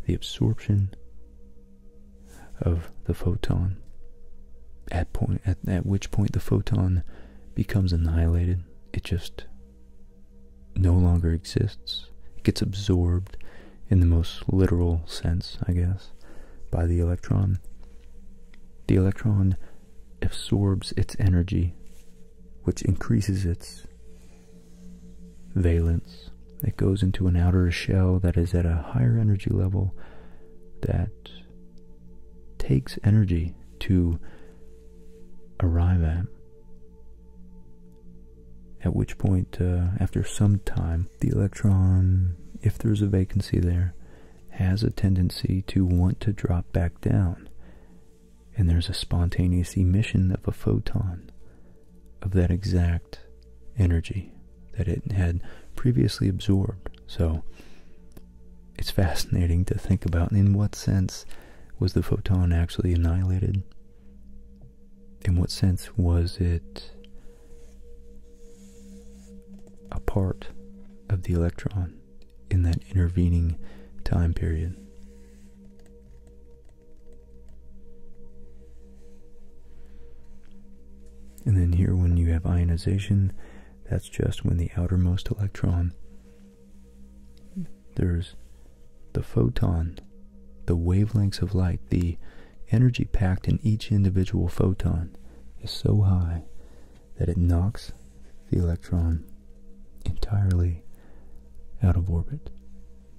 the absorption of the photon at point at, at which point the photon becomes annihilated it just no longer exists it gets absorbed in the most literal sense i guess by the electron the electron absorbs its energy which increases its valence that goes into an outer shell that is at a higher energy level that takes energy to arrive at. At which point, uh, after some time, the electron, if there's a vacancy there, has a tendency to want to drop back down. And there's a spontaneous emission of a photon of that exact energy that it had previously absorbed. So it's fascinating to think about in what sense was the photon actually annihilated? In what sense was it a part of the electron in that intervening time period? And then here when you have ionization, that's just when the outermost electron, there's the photon, the wavelengths of light, the energy packed in each individual photon is so high that it knocks the electron entirely out of orbit.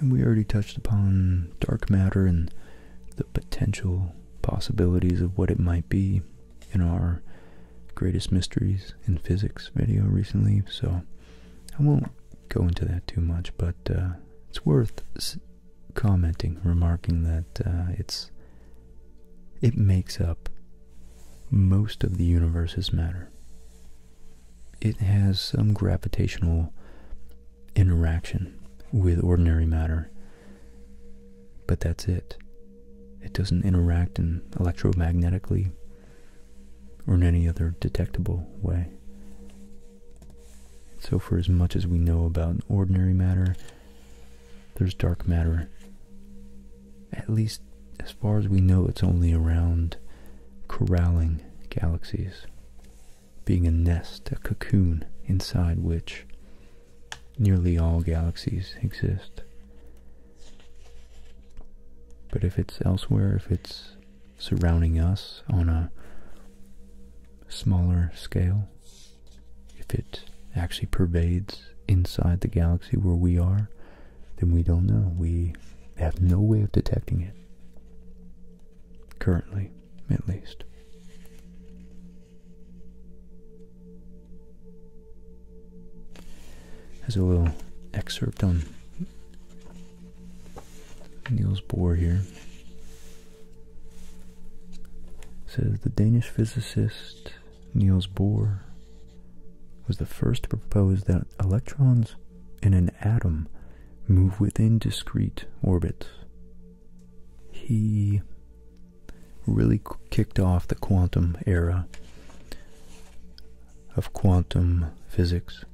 And we already touched upon dark matter and the potential possibilities of what it might be in our greatest mysteries in physics video recently, so I won't go into that too much, but uh, it's worth commenting, remarking that uh, it's it makes up most of the universe's matter it has some gravitational interaction with ordinary matter, but that's it. It doesn't interact in electromagnetically or in any other detectable way. So, for as much as we know about ordinary matter, there's dark matter, at least as far as we know, it's only around corralling galaxies, being a nest, a cocoon inside which nearly all galaxies exist. But if it's elsewhere, if it's surrounding us on a smaller scale, if it actually pervades inside the galaxy where we are, then we don't know. We have no way of detecting it. Currently, at least. There's a little excerpt on Niels Bohr here. says the Danish physicist Niels Bohr was the first to propose that electrons in an atom move within discrete orbits. He really kicked off the quantum era of quantum physics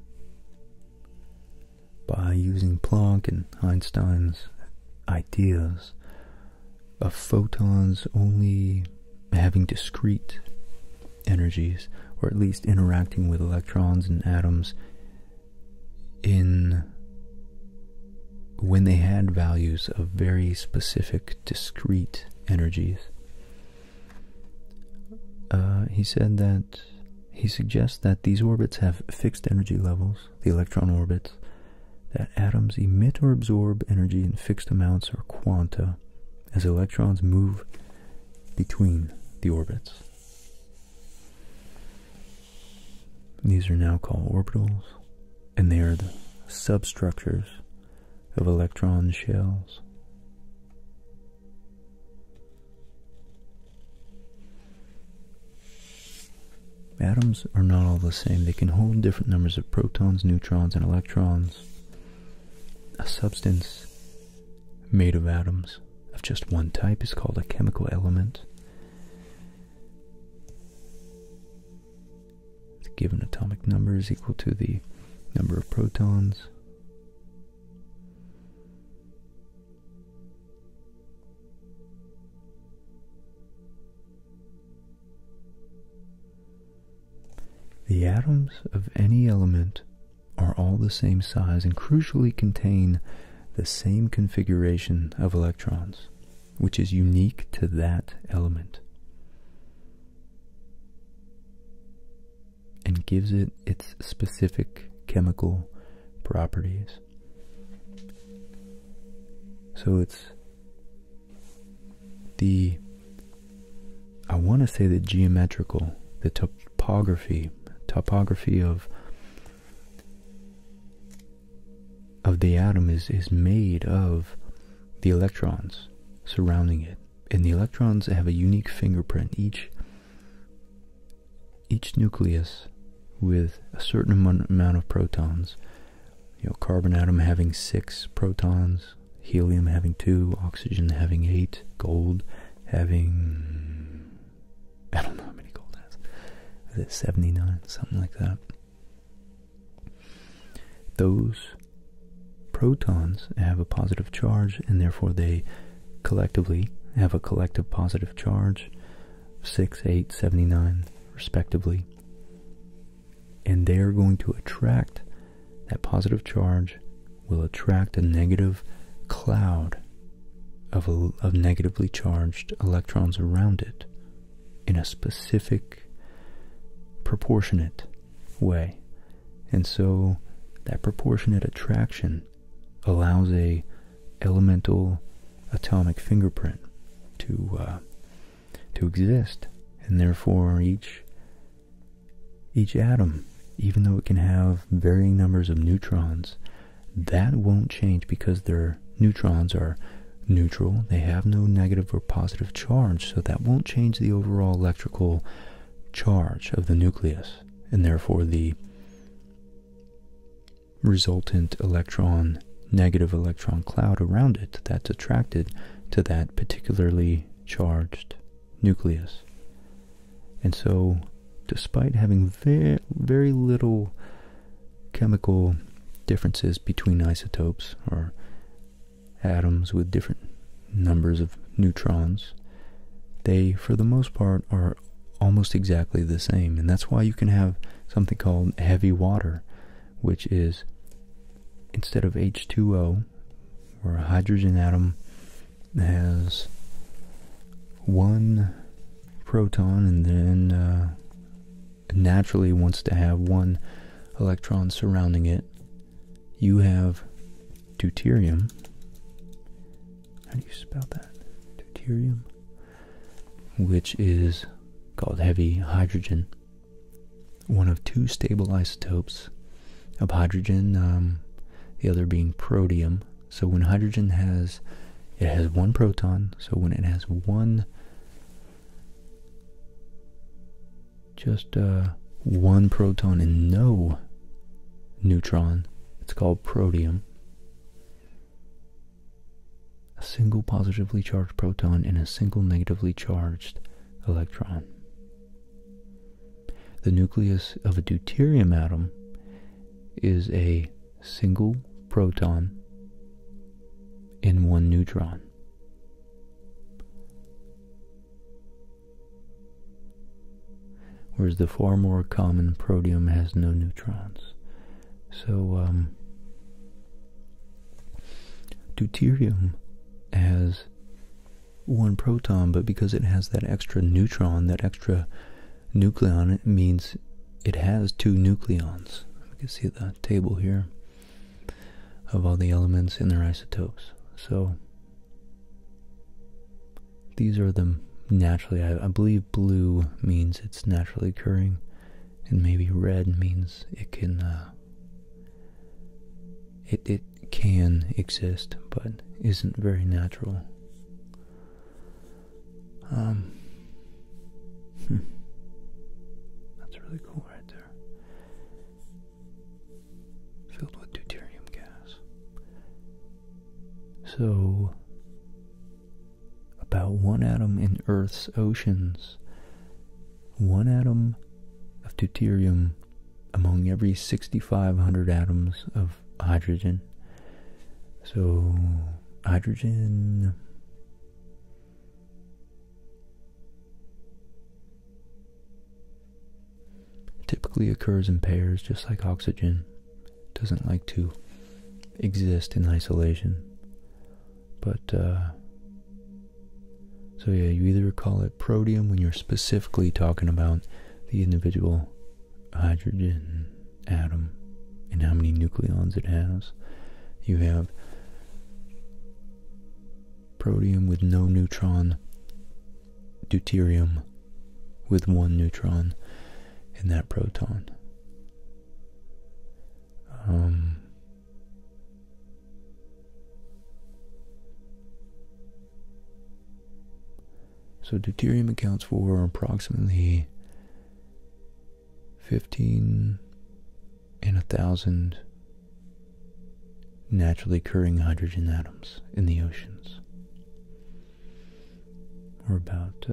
by using Planck and Einstein's ideas of photons only having discrete energies, or at least interacting with electrons and atoms in when they had values of very specific, discrete energies. Uh, he said that he suggests that these orbits have fixed energy levels, the electron orbits, that atoms emit or absorb energy in fixed amounts or quanta as electrons move between the orbits. These are now called orbitals, and they are the substructures of electron shells. Atoms are not all the same. They can hold different numbers of protons, neutrons, and electrons. A substance made of atoms of just one type is called a chemical element. The given atomic number is equal to the number of protons. The atoms of any element are all the same size and crucially contain the same configuration of electrons, which is unique to that element and gives it its specific chemical properties. So it's the I want to say that geometrical, the topography, topography of of the atom is is made of the electrons surrounding it, and the electrons have a unique fingerprint. Each each nucleus with a certain amount of protons. You know, carbon atom having six protons, helium having two, oxygen having eight, gold having I don't know how many gold has. 79? Something like that. Those protons have a positive charge and therefore they collectively have a collective positive charge 6, 8, 79 respectively. And they are going to attract that positive charge will attract a negative cloud of, of negatively charged electrons around it in a specific proportionate way. And so that proportionate attraction allows a elemental atomic fingerprint to uh, to exist, and therefore each each atom, even though it can have varying numbers of neutrons, that won't change because their neutrons are neutral. They have no negative or positive charge, so that won't change the overall electrical charge of the nucleus, and therefore the resultant electron, negative electron cloud around it that's attracted to that particularly charged nucleus. And so, despite having very, very little chemical differences between isotopes or atoms with different numbers of neutrons, they, for the most part, are almost exactly the same. And that's why you can have something called heavy water, which is instead of H2O, where a hydrogen atom has one proton and then uh, naturally wants to have one electron surrounding it, you have deuterium. How do you spell that? Deuterium, which is called heavy hydrogen, one of two stable isotopes of hydrogen, um, the other being protium, so when hydrogen has, it has one proton, so when it has one, just uh, one proton and no neutron, it's called protium. A single positively charged proton and a single negatively charged electron. The nucleus of a deuterium atom is a single proton and one neutron. Whereas the far more common protium has no neutrons. So, um, deuterium has one proton, but because it has that extra neutron, that extra Nucleon means it has two nucleons. You can see the table here of all the elements and their isotopes. So these are the naturally, I, believe blue means it's naturally occurring, and maybe red means it can, uh, it, it can exist, but isn't very natural. Um, hmm. That's really cool right there. Filled with deuterium gas. So, about one atom in Earth's oceans, one atom of deuterium among every 6,500 atoms of hydrogen. So, hydrogen typically occurs in pairs just like oxygen. Doesn't like to exist in isolation. But, uh, so yeah, you either call it protium when you're specifically talking about the individual hydrogen atom and how many nucleons it has. You have protium with no neutron, deuterium with one neutron, and that proton. Um, so deuterium accounts for approximately 15 in a thousand naturally occurring hydrogen atoms in the oceans, or about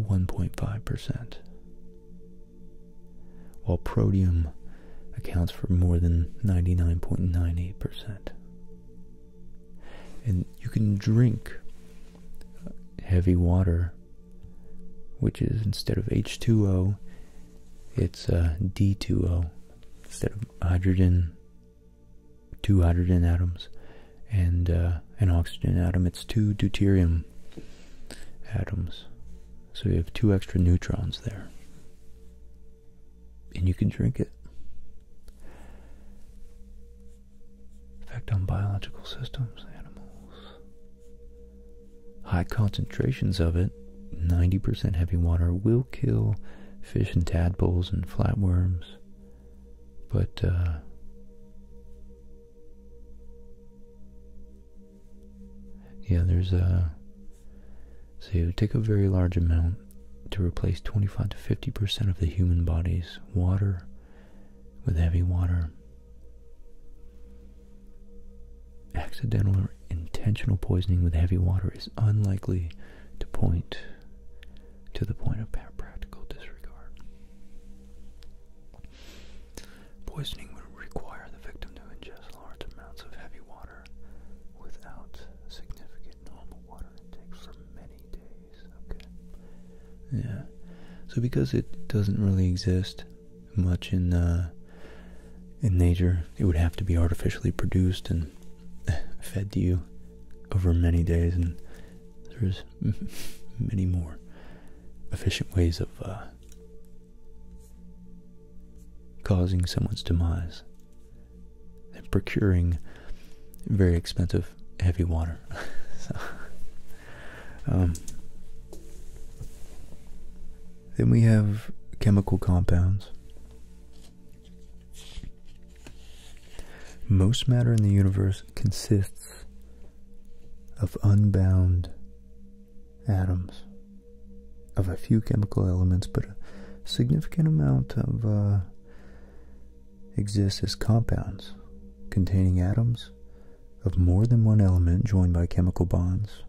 1.5%, uh, while protium accounts for more than 99.98% and you can drink uh, heavy water which is instead of h2o it's uh, d2o instead of hydrogen two hydrogen atoms and uh, an oxygen atom it's two deuterium atoms so you have two extra neutrons there and you can drink it effect on biological systems, animals. High concentrations of it, 90% heavy water, will kill fish and tadpoles and flatworms. But, uh, yeah, there's a. so you take a very large amount to replace 25 to 50 percent of the human body's water with heavy water. Accidental or intentional poisoning with heavy water is unlikely to point to the point of practical disregard. Poisoning would require the victim to ingest large amounts of heavy water without significant normal water intake for many days. Yeah. So because it doesn't really exist much in uh, in nature, it would have to be artificially produced and fed to you over many days, and there's many more efficient ways of uh, causing someone's demise and procuring very expensive heavy water. Um, then we have chemical compounds. Most matter in the universe consists of unbound atoms of a few chemical elements, but a significant amount of uh, exist as compounds containing atoms of more than one element joined by chemical bonds.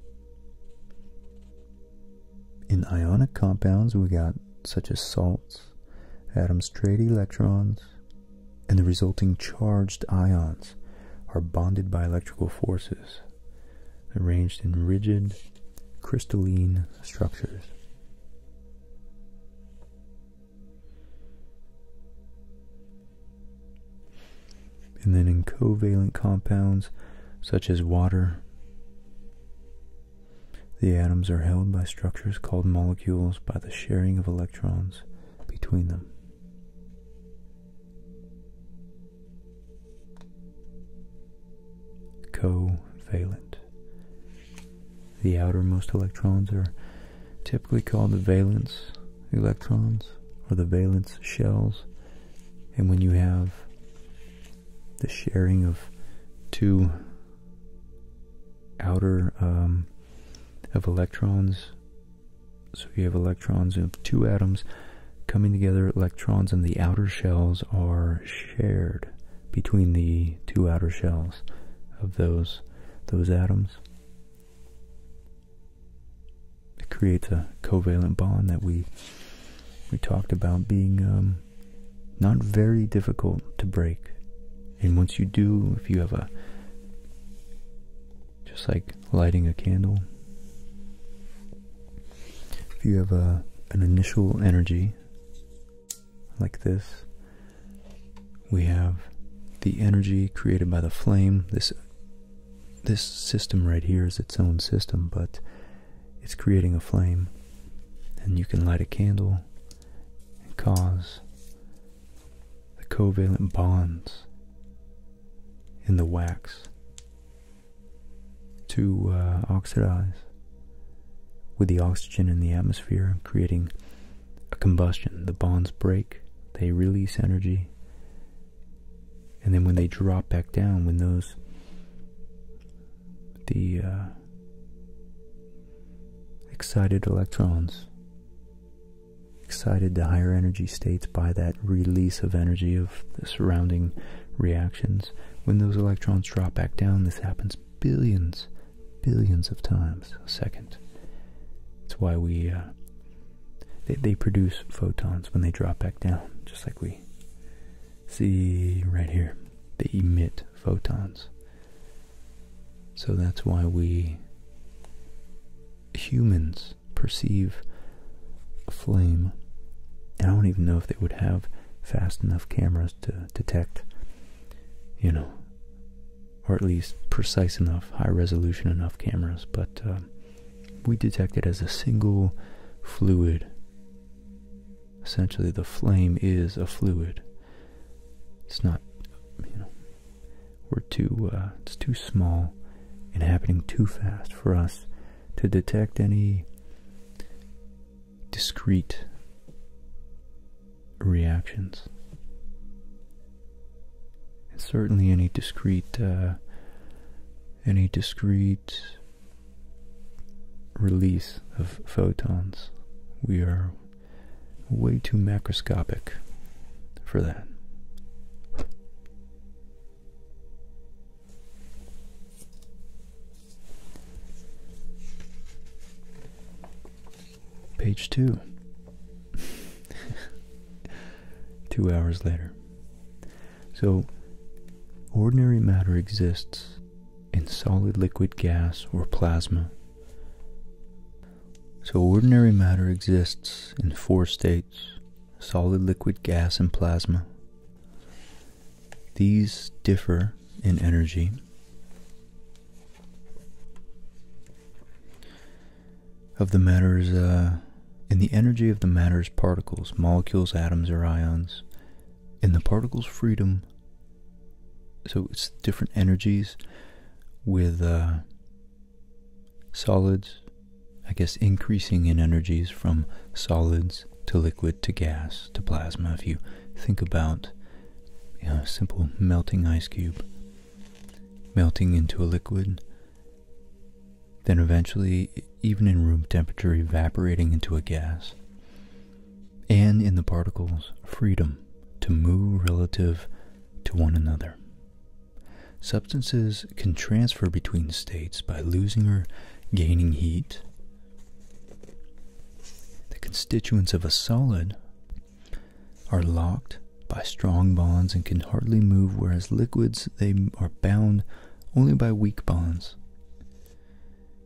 In ionic compounds, we got such as salts, atoms trade electrons, and the resulting charged ions are bonded by electrical forces arranged in rigid crystalline structures. And then in covalent compounds such as water, the atoms are held by structures called molecules by the sharing of electrons between them. Covalent. The outermost electrons are typically called the valence electrons or the valence shells. And when you have the sharing of two outer um, of electrons, so you have electrons of two atoms coming together, electrons in the outer shells are shared between the two outer shells of those those atoms. It creates a covalent bond that we we talked about being um, not very difficult to break. And once you do, if you have a just like lighting a candle, if you have a an initial energy like this. We have the energy created by the flame. This this system right here is its own system, but it's creating a flame. And you can light a candle and cause the covalent bonds in the wax to uh, oxidize with the oxygen in the atmosphere, creating a combustion. The bonds break, they release energy, and then when they drop back down, when those the uh, excited electrons excited to higher energy states by that release of energy of the surrounding reactions. When those electrons drop back down, this happens billions billions of times a second. That's why we uh, they produce photons when they drop back down, just like we see right here. They emit photons. So that's why we humans perceive a flame. I don't even know if they would have fast enough cameras to detect, you know, or at least precise enough, high resolution enough cameras, but uh, we detect it as a single fluid. Essentially, the flame is a fluid. It's not, you know, we're too, uh, it's too small and happening too fast for us to detect any discrete reactions. certainly, any discrete, uh, any discrete release of photons, we are way too macroscopic for that. Page two. two hours later. So, ordinary matter exists in solid, liquid, gas, or plasma. So, ordinary matter exists in four states solid, liquid, gas, and plasma. These differ in energy of the matters, uh, in the energy of the matter's particles, molecules, atoms, or ions, in the particle's freedom, so it's different energies with uh, solids, I guess increasing in energies from solids to liquid to gas to plasma. If you think about a simple melting ice cube, melting into a liquid, then eventually, even in room temperature, evaporating into a gas, and in the particles, freedom to move relative to one another. Substances can transfer between states by losing or gaining heat. The constituents of a solid are locked by strong bonds and can hardly move, whereas liquids, they are bound only by weak bonds.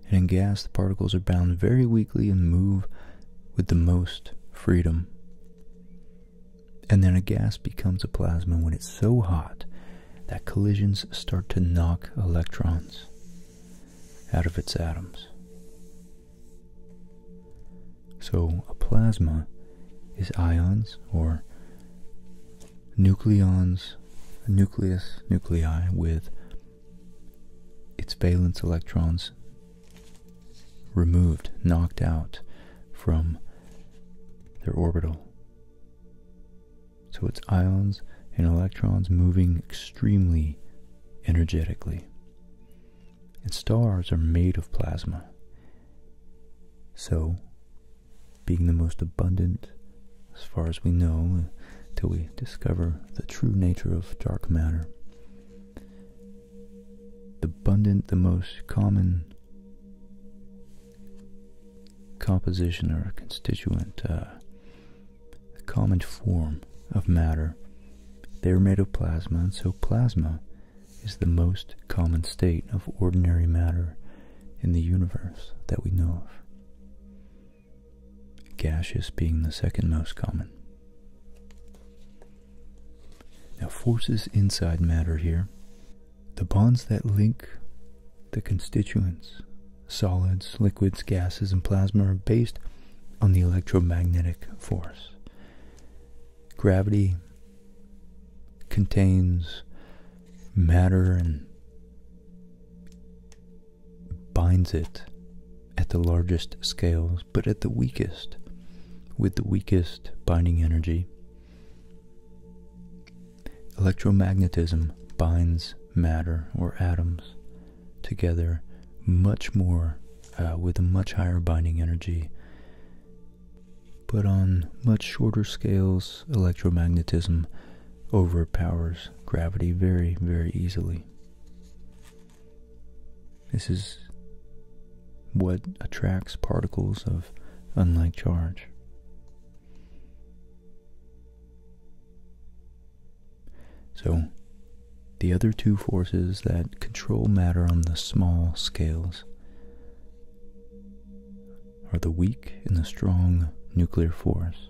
And in gas, the particles are bound very weakly and move with the most freedom. And then a gas becomes a plasma when it's so hot that collisions start to knock electrons out of its atoms. So a plasma is ions or nucleons, nucleus, nuclei with its valence electrons removed, knocked out from their orbital. So it's ions and electrons moving extremely energetically. And stars are made of plasma. So, being the most abundant, as far as we know, till we discover the true nature of dark matter, abundant, the most common composition or constituent, uh, the common form of matter, they are made of plasma, and so plasma is the most common state of ordinary matter in the universe that we know of, gaseous being the second most common. Now, forces inside matter here, the bonds that link the constituents, solids, liquids, gases, and plasma, are based on the electromagnetic force. Gravity contains matter and binds it at the largest scales, but at the weakest, with the weakest binding energy. Electromagnetism binds matter or atoms together much more uh, with a much higher binding energy. But on much shorter scales, electromagnetism overpowers gravity very, very easily. This is what attracts particles of unlike charge. So, the other two forces that control matter on the small scales are the weak and the strong nuclear force.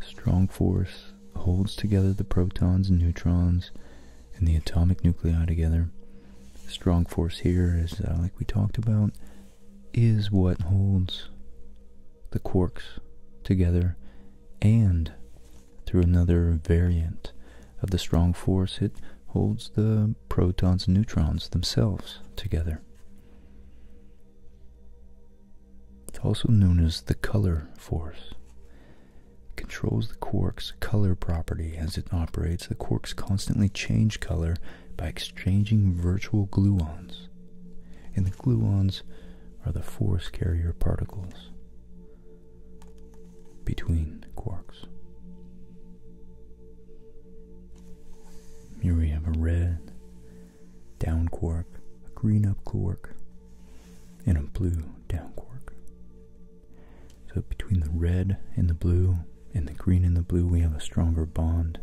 Strong force holds together the protons and neutrons and the atomic nuclei together. Strong force here is, uh, like we talked about, is what holds the quarks together and through another variant of the strong force it holds the protons and neutrons themselves together. It's also known as the color force. controls the quark's color property as it operates. The quarks constantly change color by exchanging virtual gluons. And the gluons are the force carrier particles between quarks. Here we have a red down quark, a green up quark, and a blue down quark. So between the red and the blue and the green and the blue we have a stronger bond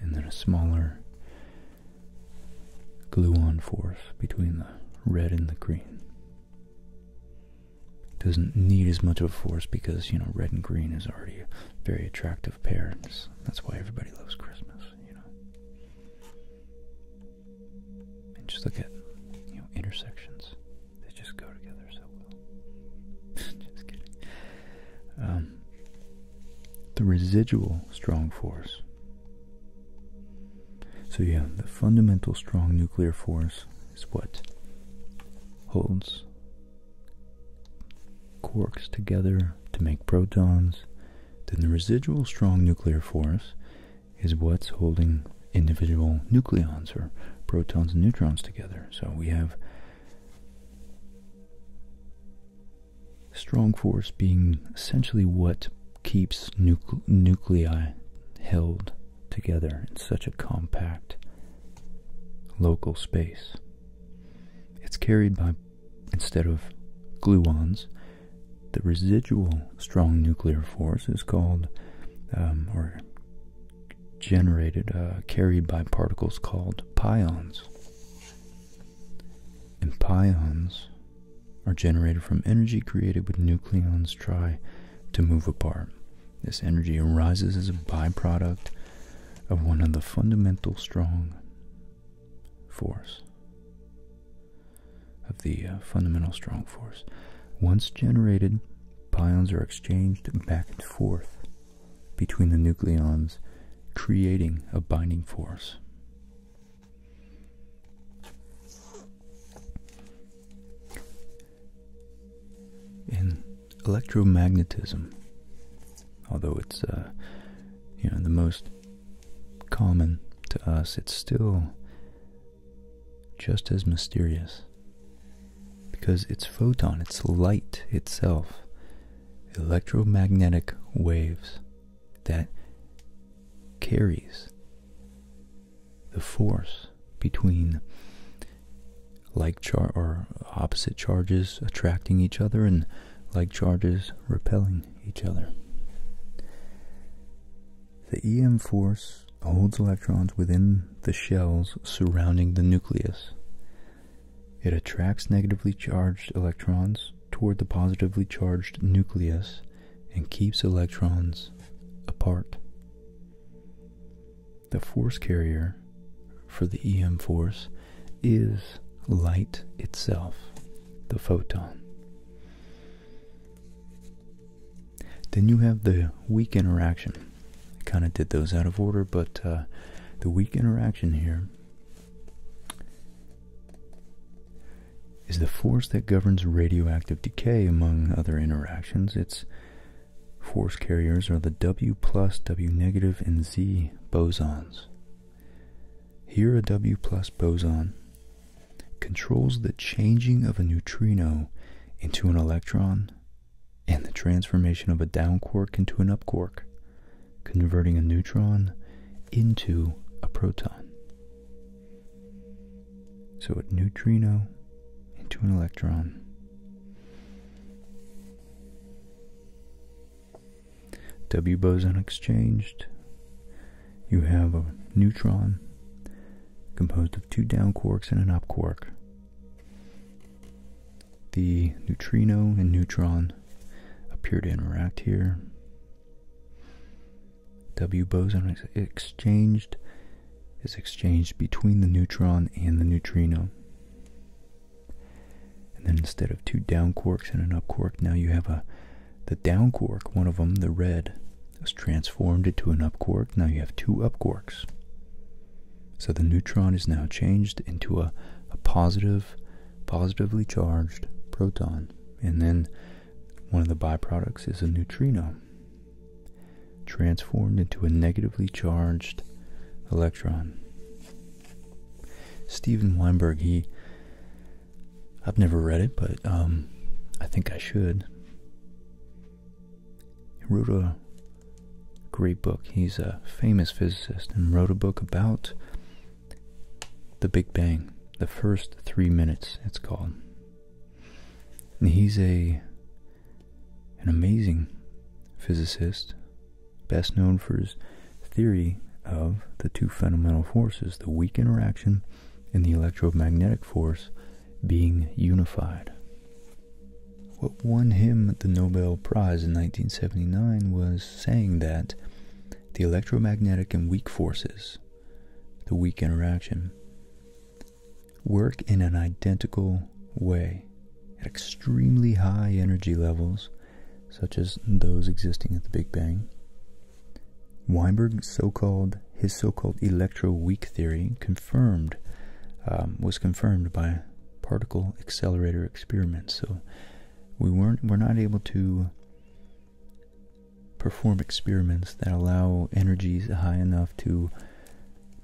and then a smaller glue-on force between the red and the green. doesn't need as much of a force because, you know, red and green is already a very attractive pair. that's why everybody loves Christmas, you know. And just look at, you know, intersections. They just go together so well. Just kidding. Um, the residual strong force. So, yeah, the fundamental strong nuclear force is what holds quarks together to make protons. Then, the residual strong nuclear force is what's holding individual nucleons or protons and neutrons together. So, we have Strong force being essentially what keeps nuclei held together in such a compact local space. It's carried by, instead of gluons, the residual strong nuclear force is called, um, or generated, uh, carried by particles called pions. And pions are generated from energy created when nucleons try to move apart. This energy arises as a byproduct of one of the fundamental strong force of the uh, fundamental strong force. Once generated, pions are exchanged back and forth between the nucleons, creating a binding force. In electromagnetism, although it's uh, you know the most common to us, it's still just as mysterious because it's photon, it's light itself electromagnetic waves that carries the force between like or opposite charges attracting each other and like charges repelling each other. The EM force holds electrons within the shells surrounding the nucleus it attracts negatively charged electrons toward the positively charged nucleus and keeps electrons apart. The force carrier for the EM force is light itself, the photon. Then you have the weak interaction. I kind of did those out of order, but uh, the weak interaction here is the force that governs radioactive decay among other interactions. Its force carriers are the W plus, W negative, and Z bosons. Here, a W plus boson controls the changing of a neutrino into an electron and the transformation of a down quark into an up quark converting a neutron into a proton. So a neutrino into an electron. W boson exchanged. You have a neutron composed of two down quarks and an up quark the neutrino and neutron appear to interact here. W boson is exchanged is exchanged between the neutron and the neutrino. And then instead of two down quarks and an up quark, now you have a the down quark, one of them, the red, is transformed into an up quark. Now you have two up quarks. So the neutron is now changed into a, a positive positively charged proton. And then one of the byproducts is a neutrino transformed into a negatively charged electron. Steven Weinberg, he, I've never read it, but um, I think I should. He Great book. He's a famous physicist and wrote a book about the Big Bang, the first three minutes, it's called. he's a an amazing physicist, best known for his theory of the two fundamental forces, the weak interaction and the electromagnetic force being unified. What won him the Nobel Prize in 1979 was saying that the electromagnetic and weak forces, the weak interaction, work in an identical way at extremely high energy levels, such as those existing at the Big Bang. Weinberg's so-called his so-called electroweak theory confirmed um, was confirmed by particle accelerator experiments. So we weren't we're not able to perform experiments that allow energies high enough to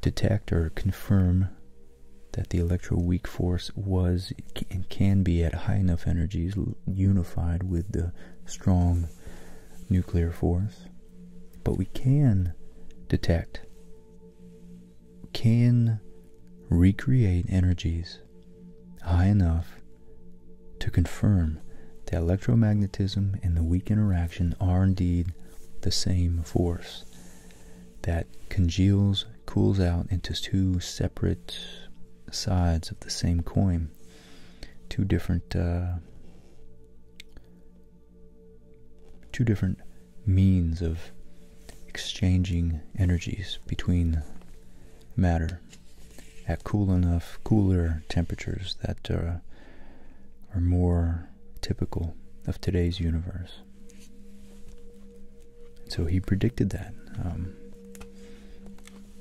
detect or confirm that the electroweak force was and can be at high enough energies unified with the strong nuclear force but we can detect can recreate energies high enough to confirm that electromagnetism and the weak interaction are indeed the same force that congeals, cools out into two separate sides of the same coin, two different uh, two different means of exchanging energies between matter at cool enough, cooler temperatures that uh, are, more typical of today's universe. So he predicted that, um,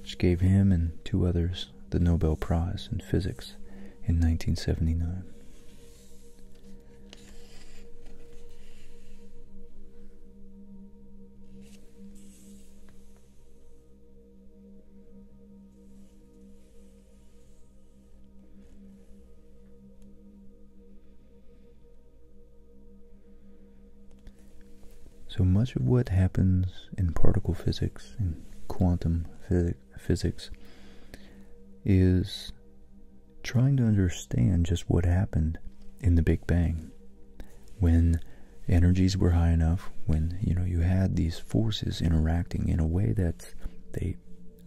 which gave him and two others the Nobel Prize in Physics in 1979. So much of what happens in particle physics and quantum physics is trying to understand just what happened in the Big Bang when energies were high enough, when you know you had these forces interacting in a way that they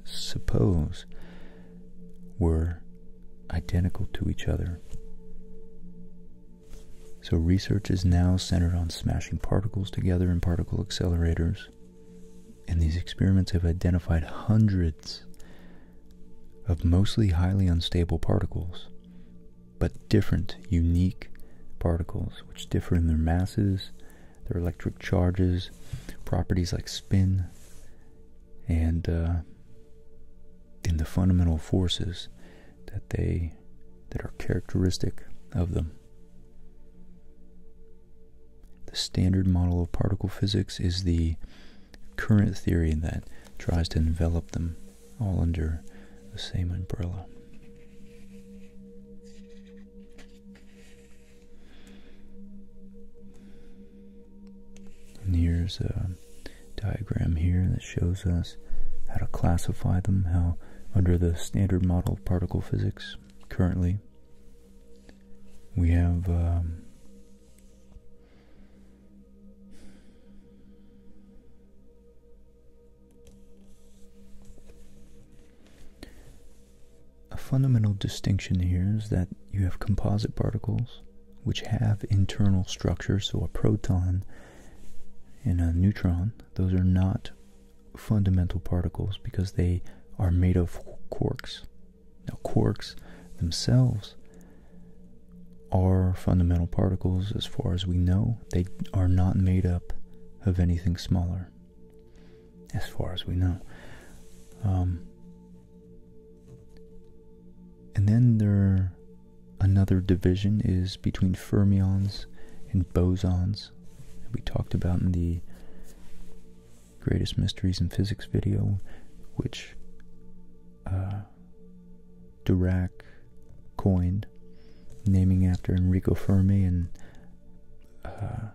suppose were identical to each other. So research is now centered on smashing particles together in particle accelerators, and these experiments have identified hundreds of mostly highly unstable particles, but different, unique particles which differ in their masses, their electric charges, properties like spin, and uh, in the fundamental forces that they that are characteristic of them. The standard model of particle physics is the current theory that tries to envelop them all under the same umbrella. And here's a diagram here that shows us how to classify them, how under the standard model of particle physics currently we have um, a fundamental distinction here is that you have composite particles which have internal structure, so a proton and a neutron, those are not fundamental particles because they are made of quarks. Now, quarks themselves are fundamental particles, as far as we know. They are not made up of anything smaller, as far as we know. Um, and then there, another division is between fermions and bosons. We talked about in the Greatest Mysteries in Physics video, which uh, Dirac coined, naming after Enrico Fermi and uh,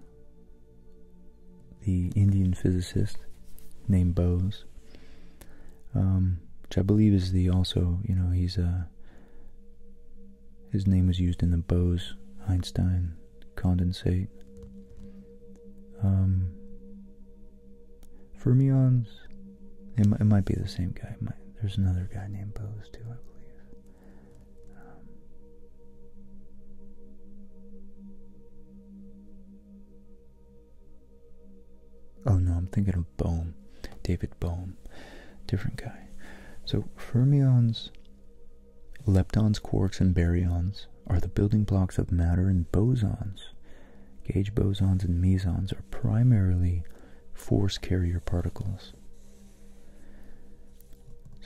the Indian physicist named Bose, um, which I believe is the also you know he's a uh, his name was used in the Bose Einstein condensate. Um, Fermions, it, might be the same guy. there's another guy named Bose too, I believe. Um, oh no, I'm thinking of Bohm, David Bohm, different guy. So fermions, leptons, quarks, and baryons are the building blocks of matter and bosons. Gauge bosons and mesons are primarily force carrier particles.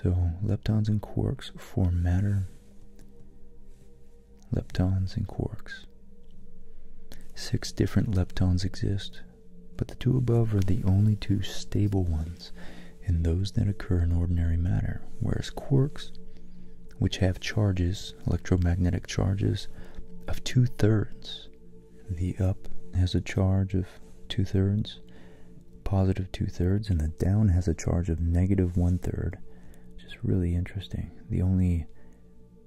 So, leptons and quarks form matter. Leptons and quarks. Six different leptons exist, but the two above are the only two stable ones and those that occur in ordinary matter, whereas quarks, which have charges electromagnetic charges, of two thirds. The up has a charge of two thirds, positive two thirds, and the down has a charge of negative one third. Just really interesting. The only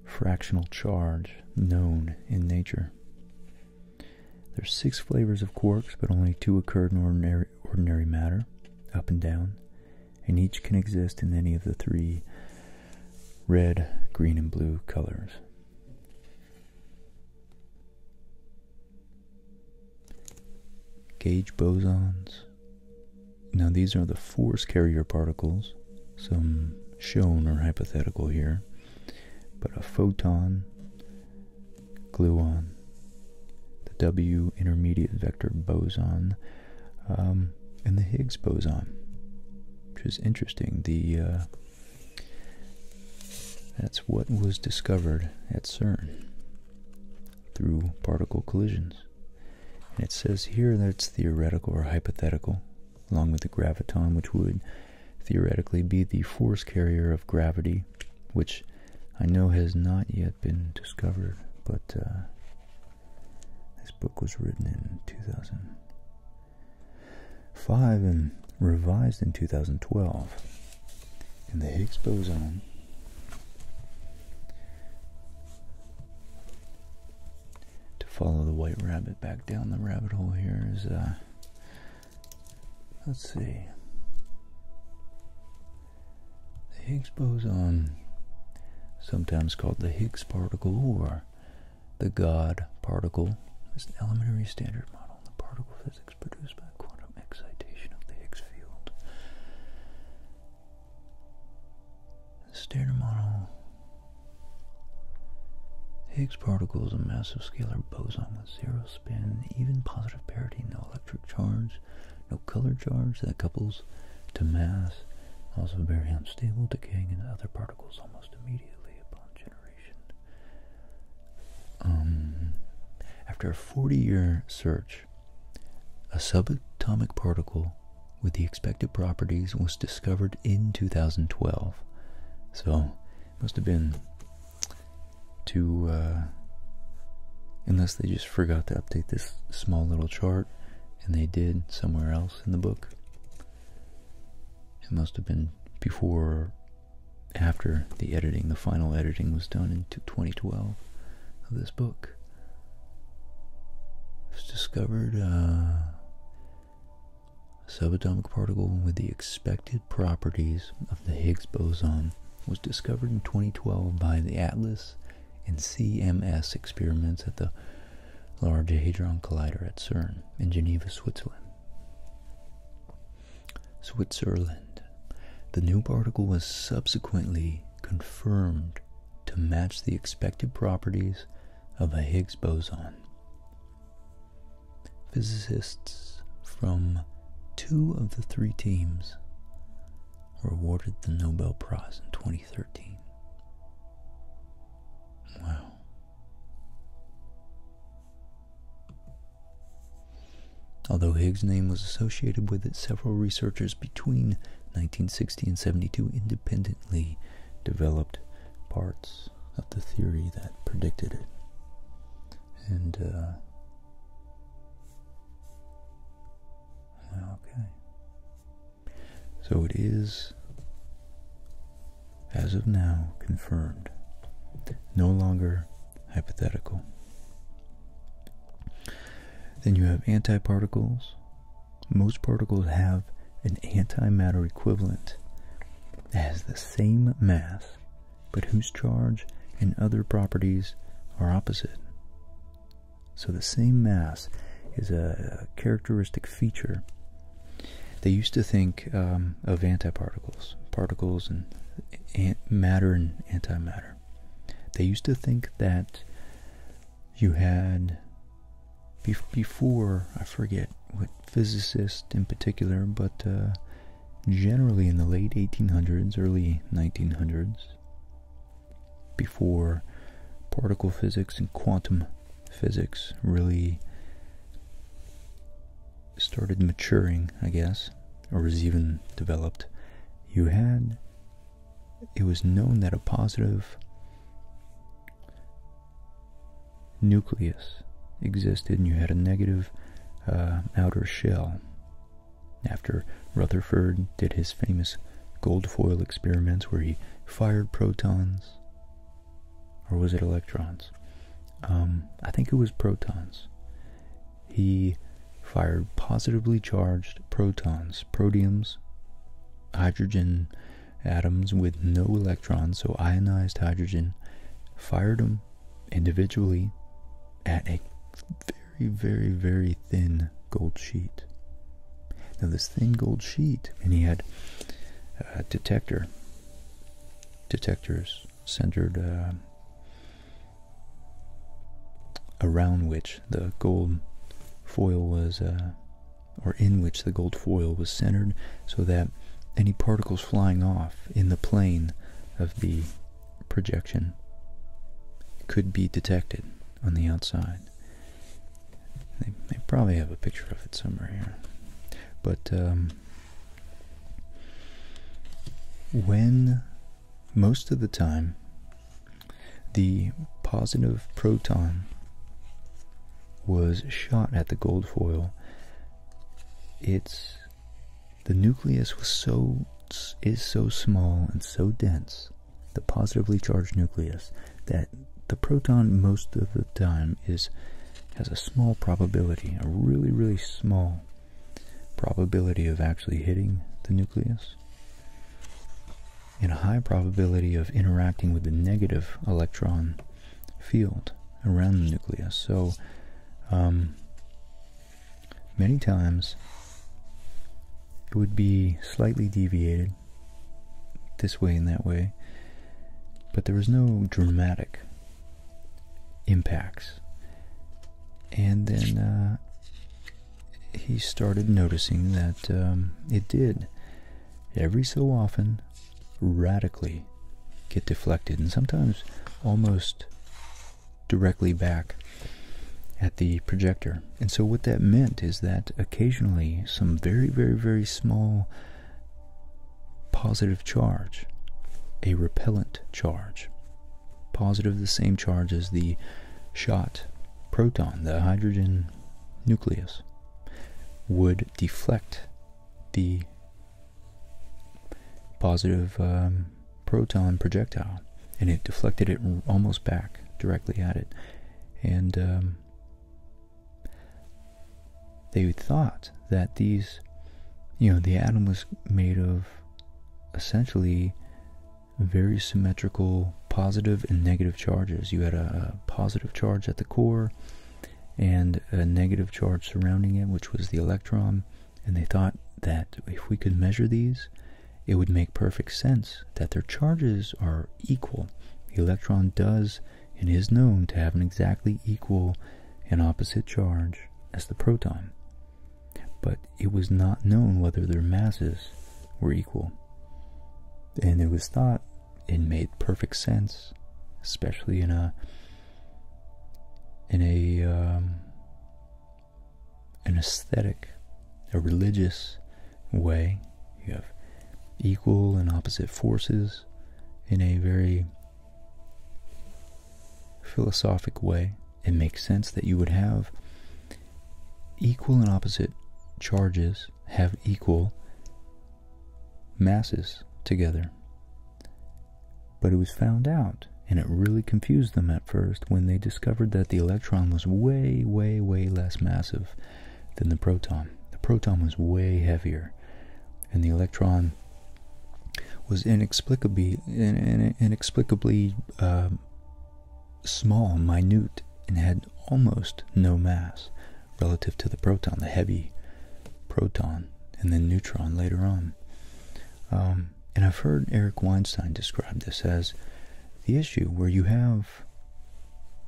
fractional charge known in nature. There's six flavors of quarks, but only two occur in ordinary, ordinary matter, up and down, and each can exist in any of the three red, green, and blue colors. Gauge bosons. Now, these are the force carrier particles, some shown are hypothetical here, but a photon, gluon, the W intermediate vector boson. Um, and the Higgs boson, which is interesting. The uh, that's what was discovered at CERN through particle collisions, and it says here that it's theoretical or hypothetical, along with the graviton, which would theoretically be the force carrier of gravity, which I know has not yet been discovered, but uh, this book was written in 2005 and revised in 2012. And the Higgs boson to follow the white rabbit back down the rabbit hole here is uh let's see the Higgs boson sometimes called the Higgs particle or the God particle is an elementary standard model in the particle physics produced by quantum excitation of the Higgs field. The standard model Higgs particle is a massive scalar boson with zero spin, even positive parity, no electric charge, no color charge that couples to mass, also very unstable, decaying into other particles almost immediately upon generation. Um, after a 40 year search, a subatomic particle with the expected properties was discovered in 2012. So, it must have been to, uh, unless they just forgot to update this small little chart, and they did somewhere else in the book. It must have been before, after the editing, the final editing was done in 2012 of this book. It was discovered uh, a subatomic particle with the expected properties of the Higgs boson was discovered in 2012 by the Atlas and CMS experiments at the Large Hadron Collider at CERN in Geneva, Switzerland. Switzerland. The new particle was subsequently confirmed to match the expected properties of a Higgs boson. Physicists from two of the three teams were awarded the Nobel Prize in 2013. Wow. Although Higgs' name was associated with it, several researchers between 1960 and 72 independently developed parts of the theory that predicted it. And, uh, okay. So it is, as of now, confirmed, no longer hypothetical. Then you have antiparticles. Most particles have an antimatter equivalent that has the same mass, but whose charge and other properties are opposite. So the same mass is a characteristic feature they used to think um, of antiparticles, particles and eh, matter and antimatter. They used to think that you had, before, I forget what physicists in particular, but uh, generally in the late 1800s, early 1900s, before particle physics and quantum physics really started maturing, I guess, or was even developed, you had it was known that a positive nucleus existed and you had a negative uh, outer shell. After Rutherford did his famous gold foil experiments where he fired protons or was it electrons? Um, I think it was protons. He fired positively charged protons, protiums, hydrogen atoms with no electrons, so ionized hydrogen, fired them individually at a very, very, very thin gold sheet. Now, this thin gold sheet, and he had uh, detector. Detectors centered uh, around which the gold foil was, uh, or in which the gold foil was centered, so that any particles flying off in the plane of the projection could be detected on the outside. They, probably have a picture of it somewhere here. But um, when most of the time the positive proton was shot at the gold foil, it's the nucleus was so is so small and so dense, the positively charged nucleus, that the proton most of the time is has a small probability, a really really small probability of actually hitting the nucleus and a high probability of interacting with the negative electron field around the nucleus. So um, many times it would be slightly deviated this way and that way but there was no dramatic impacts. And then uh, he started noticing that um, it did every so often radically get deflected and sometimes almost directly back at the projector. And so what that meant is that occasionally some very, very, very small positive charge, a repellent charge. Positive, the same charge as the shot proton, the hydrogen nucleus, would deflect the positive um, proton projectile, and it deflected it almost back directly at it. And um, they thought that these, you know, the atom was made of essentially very symmetrical positive and negative charges. You had a, a positive charge at the core and a negative charge surrounding it, which was the electron. And they thought that if we could measure these, it would make perfect sense that their charges are equal. The electron does and is known to have an exactly equal and opposite charge as the proton, but it was not known whether their masses were equal. And it was thought it made perfect sense, especially in a in a um, an aesthetic, a religious way. You have equal and opposite forces in a very philosophic way, it makes sense that you would have equal and opposite charges have equal masses together. But it was found out, and it really confused them at first when they discovered that the electron was way, way, way less massive than the proton. The proton was way heavier and the electron was inexplicably inexplicably uh, small, minute, and had almost no mass relative to the proton, the heavy proton, and then neutron later on. Um, and I've heard Eric Weinstein describe this as the issue where you have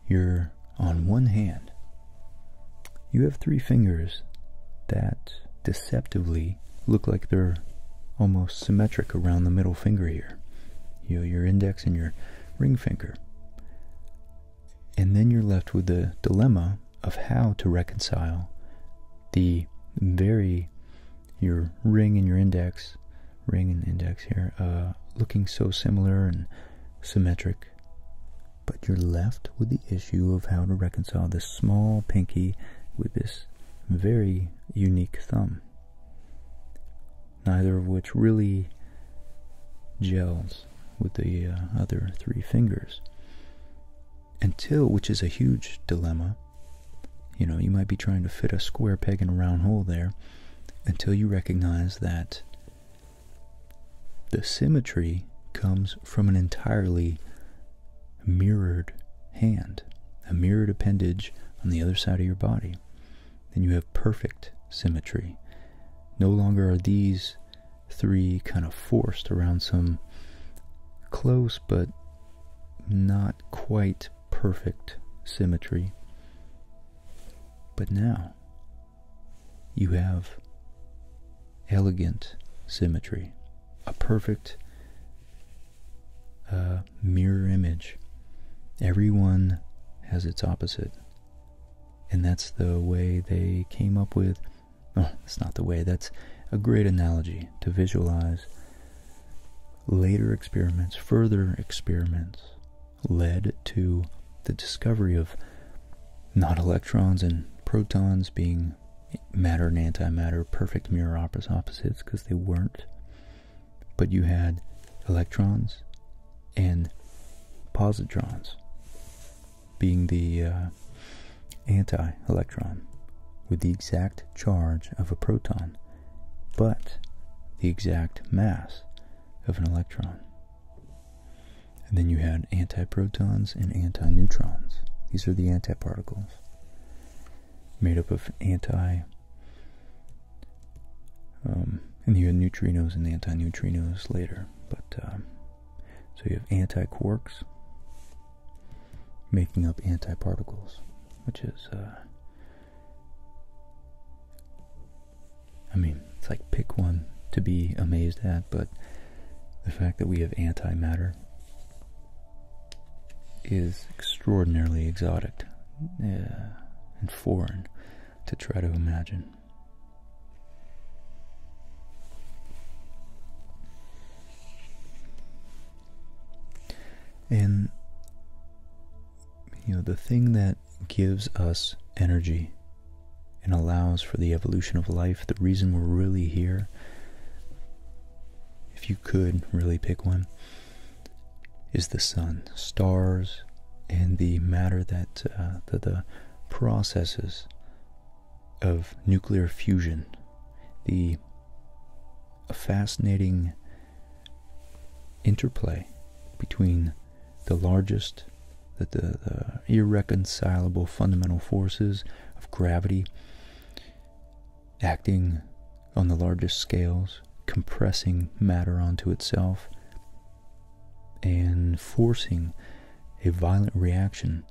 your on one hand, you have three fingers that deceptively look like they're almost symmetric around the middle finger here. You know, your index and your ring finger. And then you're left with the dilemma of how to reconcile the very, your ring and your index, ring and index here, uh, looking so similar and symmetric but you're left with the issue of how to reconcile this small pinky with this very unique thumb, neither of which really gels with the uh, other three fingers. Until, which is a huge dilemma, you know, you might be trying to fit a square peg in a round hole there until you recognize that the symmetry comes from an entirely mirrored hand, a mirrored appendage on the other side of your body. Then you have perfect symmetry. No longer are these three kind of forced around some close but not quite perfect symmetry. But now you have elegant symmetry, a perfect uh, mirror image. Everyone has its opposite. And that's the way they came up with. That's not the way. That's a great analogy to visualize later experiments, further experiments led to the discovery of not electrons and protons being matter and antimatter, perfect mirror opposites because they weren't. But you had electrons and positrons being the uh, anti electron with the exact charge of a proton, but the exact mass of an electron. And then you had antiprotons and antineutrons. These are the antiparticles made up of anti. Um, and you had neutrinos and antineutrinos later. But um, so you have antiquarks making up antiparticles, which is. Uh, I mean, it's like pick one to be amazed at, but the fact that we have antimatter is extraordinarily exotic uh, and foreign to try to imagine. And you know the thing that gives us energy and allows for the evolution of life, the reason we're really here, if you could really pick one, is the sun, stars, and the matter that uh, the processes of nuclear fusion, the fascinating interplay between the largest that the, irreconcilable fundamental forces of gravity acting on the largest scales, compressing matter onto itself, and forcing a violent reaction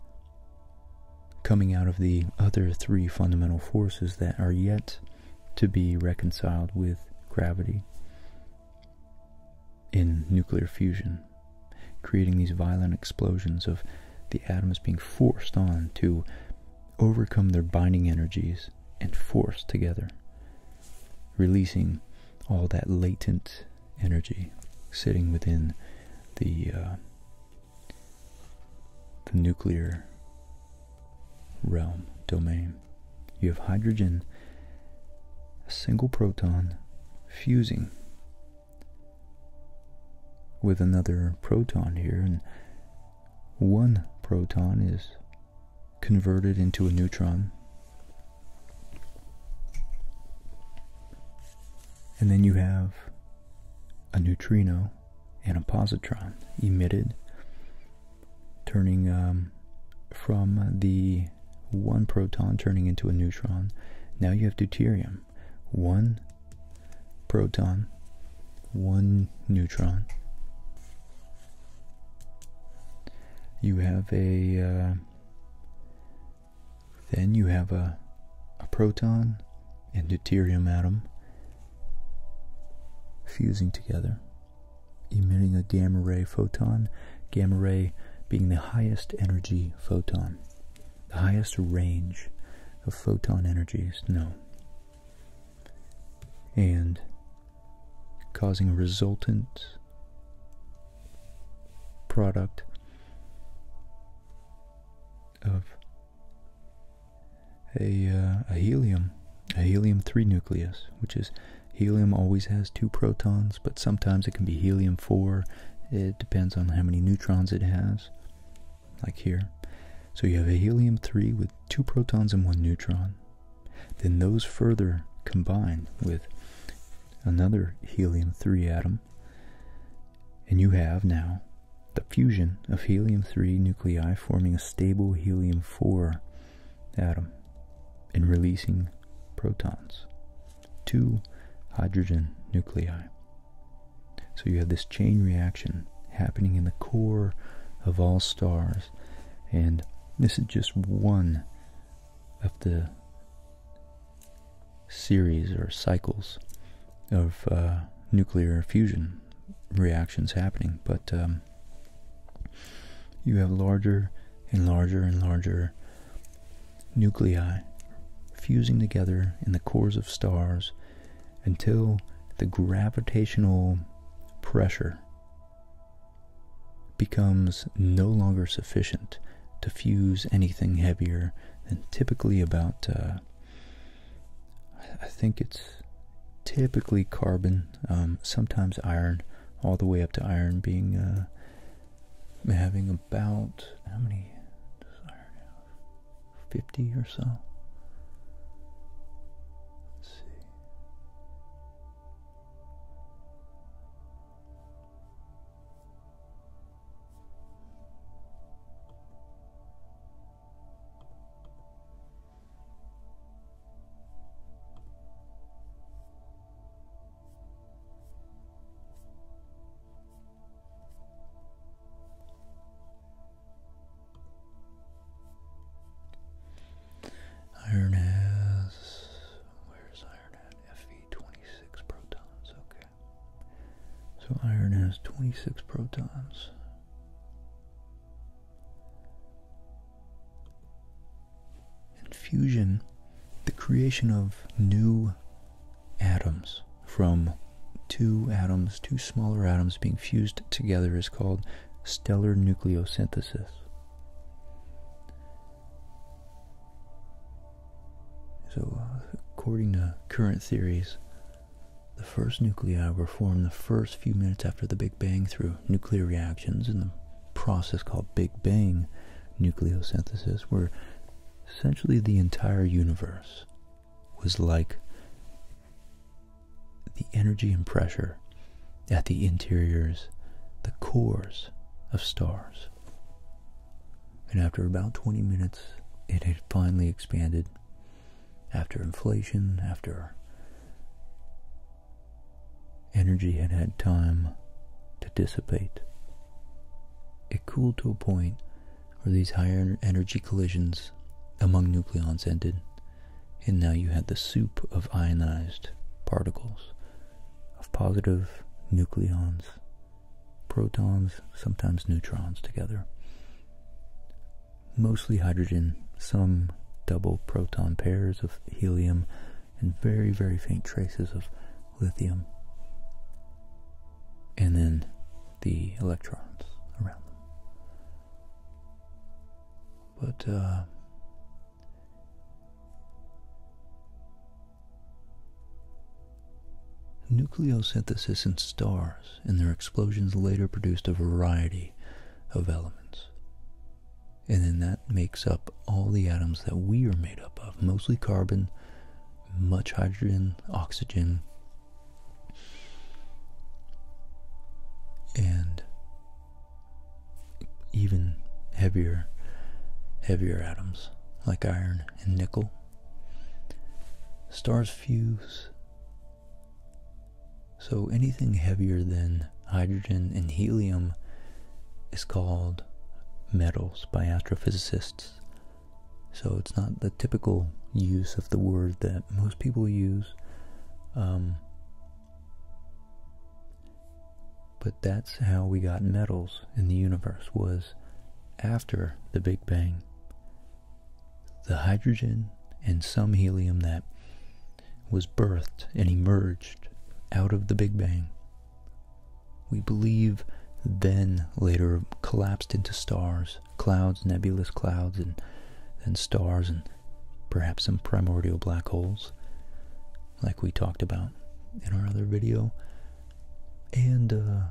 coming out of the other three fundamental forces that are yet to be reconciled with gravity in nuclear fusion creating these violent explosions of the atoms being forced on to overcome their binding energies and force together, releasing all that latent energy sitting within the uh, the nuclear realm domain. You have hydrogen, a single proton, fusing with another proton here, and one proton is converted into a neutron. And then you have a neutrino and a positron emitted, turning um, from the one proton turning into a neutron. Now you have deuterium one proton, one neutron. You have a uh, then you have a a proton and deuterium atom fusing together, emitting a gamma ray photon, gamma ray being the highest energy photon the highest range of photon energies is no. And causing a resultant product of a, uh, a helium, a helium 3 nucleus, which is helium always has two protons, but sometimes it can be helium 4. It depends on how many neutrons it has, like here. So you have a helium 3 with two protons and one neutron. Then those further combine with another helium 3 atom, and you have now the fusion of helium 3 nuclei forming a stable helium 4 atom and releasing protons two hydrogen nuclei. So you have this chain reaction happening in the core of all stars, and this is just one of the series or cycles of uh, nuclear fusion reactions happening. But um, you have larger and larger and larger nuclei fusing together in the cores of stars until the gravitational pressure becomes no longer sufficient to fuse anything heavier than typically about, uh, I think it's typically carbon, um, sometimes iron, all the way up to iron being uh, I'm having about how many Fifty or so. Let's see. Iron has, where's Iron Fe 26 protons, okay. So iron has 26 protons. And fusion, the creation of new atoms from two atoms, two smaller atoms being fused together is called stellar nucleosynthesis. So, according to current theories, the first nuclei were formed the first few minutes after the Big Bang through nuclear reactions in the process called Big Bang nucleosynthesis, Were essentially the entire universe was like the energy and pressure at the interiors, the cores of stars. And after about 20 minutes, it had finally expanded. After inflation, after energy had had time to dissipate, it cooled to a point where these higher energy collisions among nucleons ended, and now you had the soup of ionized particles, of positive nucleons, protons, sometimes neutrons together. Mostly hydrogen, some double proton pairs of helium, and very, very faint traces of lithium, and then the electrons around them. But uh, nucleosynthesis in stars and their explosions later produced a variety of elements. And then that makes up all the atoms that we are made up of, mostly carbon much hydrogen, oxygen, and even heavier heavier atoms like iron and nickel. Stars fuse. So anything heavier than hydrogen and helium is called metals by astrophysicists so it's not the typical use of the word that most people use. Um, but that's how we got metals in the universe was after the Big Bang. The hydrogen and some helium that was birthed and emerged out of the Big Bang. We believe then later collapsed into stars clouds, nebulous clouds, and then stars, and perhaps some primordial black holes, like we talked about in our other video. And uh,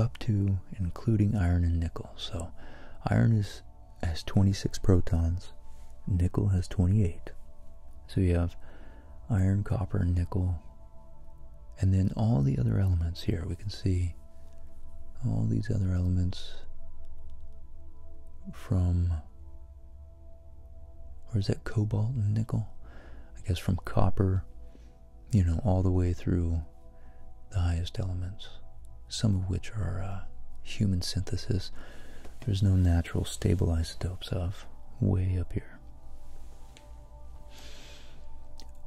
up to including iron and nickel. So iron is has 26 protons, nickel has 28. So you have iron, copper, nickel, and then all the other elements here. We can see all these other elements from, or is that cobalt and nickel? I guess from copper, you know, all the way through the highest elements, some of which are uh, human synthesis. There's no natural stable isotopes of way up here.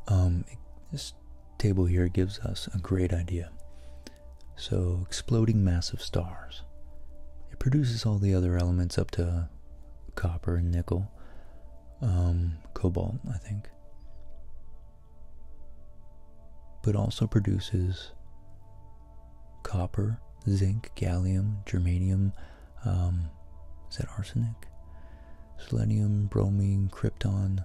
Um, this table here gives us a great idea. So, exploding massive stars. It produces all the other elements up to copper and nickel, um, cobalt, I think. But also produces copper, zinc, gallium, germanium, um, is that arsenic? Selenium, bromine, krypton,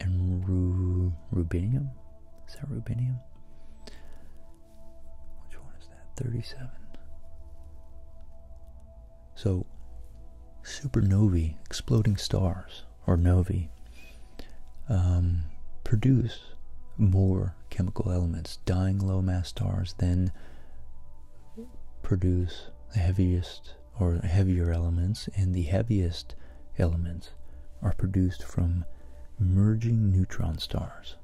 and ru rubinium? Is that rubinium? Which one is that? 37. So, supernovae, exploding stars, or novae, um, produce more chemical elements. Dying low mass stars then produce the heaviest or heavier elements, and the heaviest elements are produced from merging neutron stars,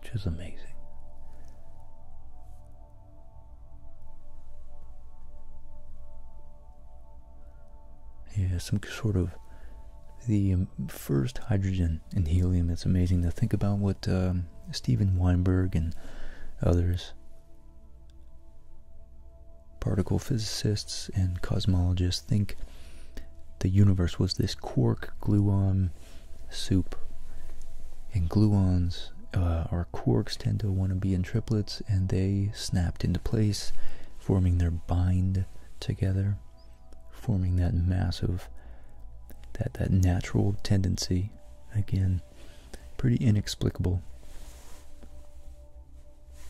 which is amazing. Yeah, some sort of the first hydrogen and helium. It's amazing to think about what um, Steven Weinberg and others, particle physicists and cosmologists, think the universe was this quark gluon soup. And gluons or uh, quarks tend to want to be in triplets and they snapped into place, forming their bind together forming that massive, that, that natural tendency. Again, pretty inexplicable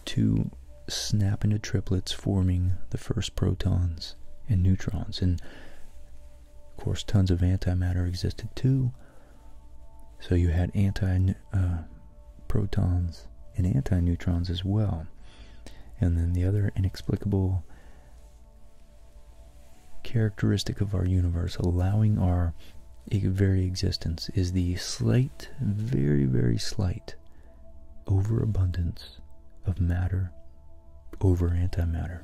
to snap into triplets, forming the first protons and neutrons. And of course, tons of antimatter existed too. So you had anti uh, protons and anti neutrons as well. And then the other inexplicable characteristic of our universe, allowing our very existence, is the slight, very, very slight overabundance of matter over antimatter.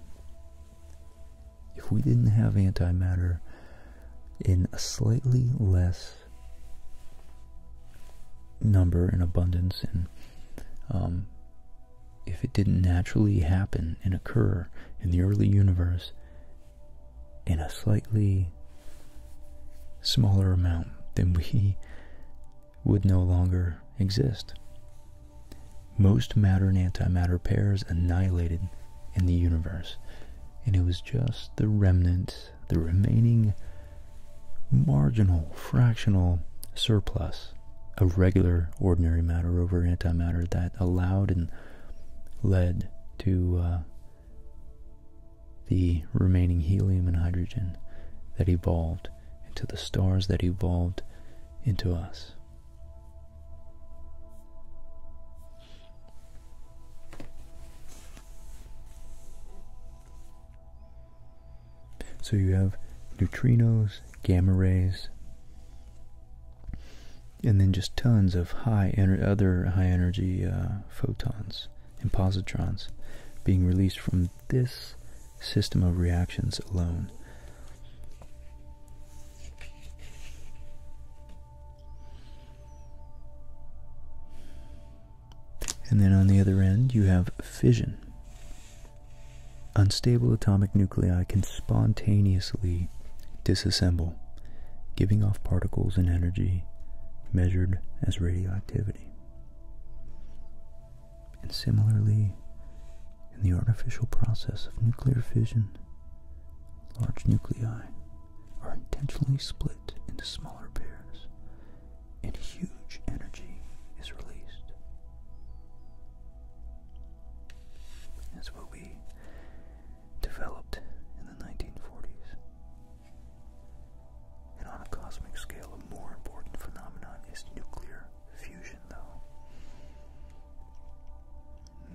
If we didn't have antimatter in a slightly less number and abundance and um, if it didn't naturally happen and occur in the early universe in a slightly smaller amount, then we would no longer exist. Most matter and antimatter pairs annihilated in the universe, and it was just the remnant, the remaining marginal, fractional surplus of regular, ordinary matter over antimatter that allowed and led to uh, the remaining helium and hydrogen that evolved into the stars that evolved into us. So you have neutrinos, gamma rays, and then just tons of high ener other high energy uh, photons and positrons being released from this system of reactions alone. And then on the other end, you have fission. Unstable atomic nuclei can spontaneously disassemble, giving off particles and energy measured as radioactivity. And similarly, in the artificial process of nuclear fission, large nuclei are intentionally split into smaller pairs and huge energy is released. That's what we developed in the 1940s. And on a cosmic scale, a more important phenomenon is nuclear fusion, though.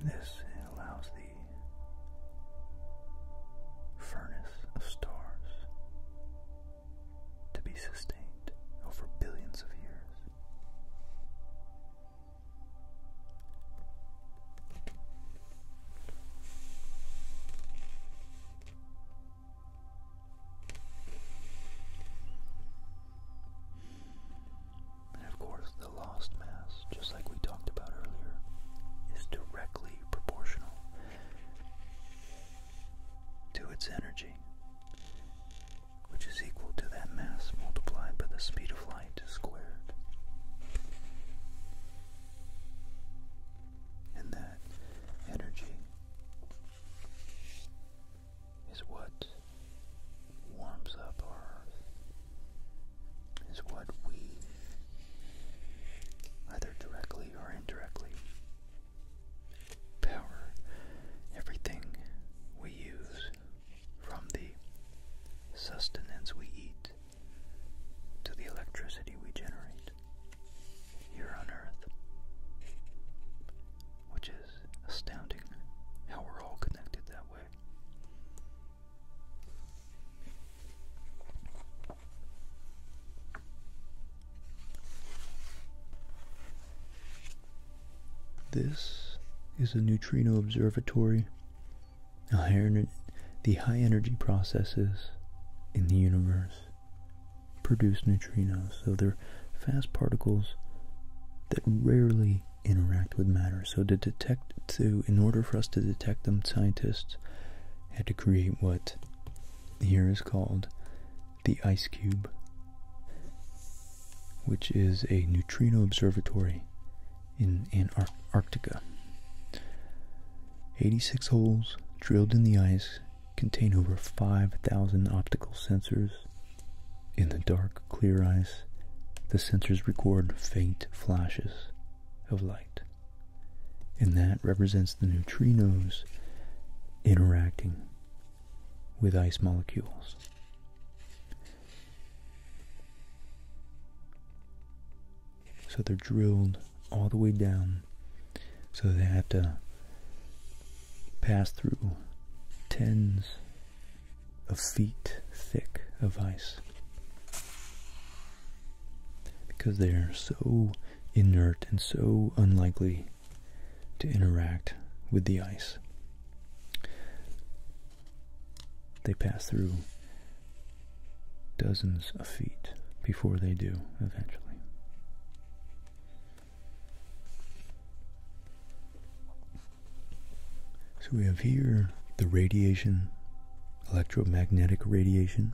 This allows the furnace of stars to be sustained over billions of years. And of course, the lost mass, just like we talked about earlier, is directly proportional to its energy which is equal to that mass multiplied by the speed of light squared. And that energy is what warms up our Earth, is what we, either directly or indirectly, power everything we use from the sustenance we eat to the electricity we generate here on Earth, which is astounding how we're all connected that way. This is a neutrino observatory. The high energy processes in the universe produce neutrinos, so they're fast particles that rarely interact with matter. So to detect, to in order for us to detect them, scientists had to create what here is called the Ice Cube, which is a neutrino observatory in Antarctica. 86 holes drilled in the ice contain over 5,000 optical sensors. In the dark, clear ice, the sensors record faint flashes of light. And that represents the neutrinos interacting with ice molecules. So they're drilled all the way down, so they have to pass through tens of feet thick of ice because they're so inert and so unlikely to interact with the ice. They pass through dozens of feet before they do eventually. So we have here the radiation, electromagnetic radiation.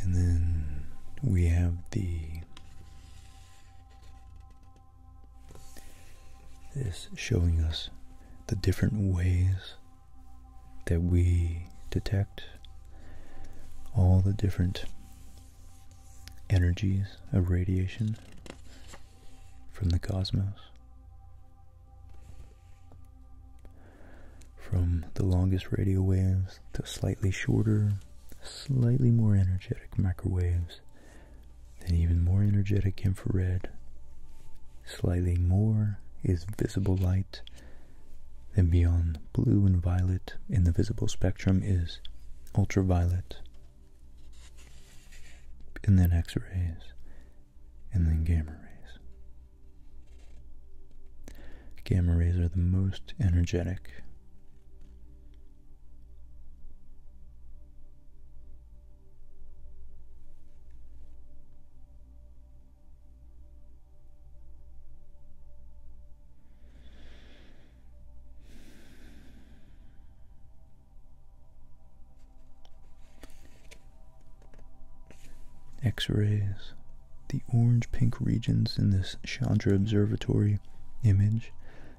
And then we have the this showing us the different ways that we detect all the different energies of radiation from the cosmos. From the longest radio waves to slightly shorter, slightly more energetic microwaves, then even more energetic infrared, slightly more is visible light, then beyond blue and violet in the visible spectrum is ultraviolet, and then X rays, and then gamma rays. Gamma rays are the most energetic. X rays. The orange pink regions in this Chandra Observatory image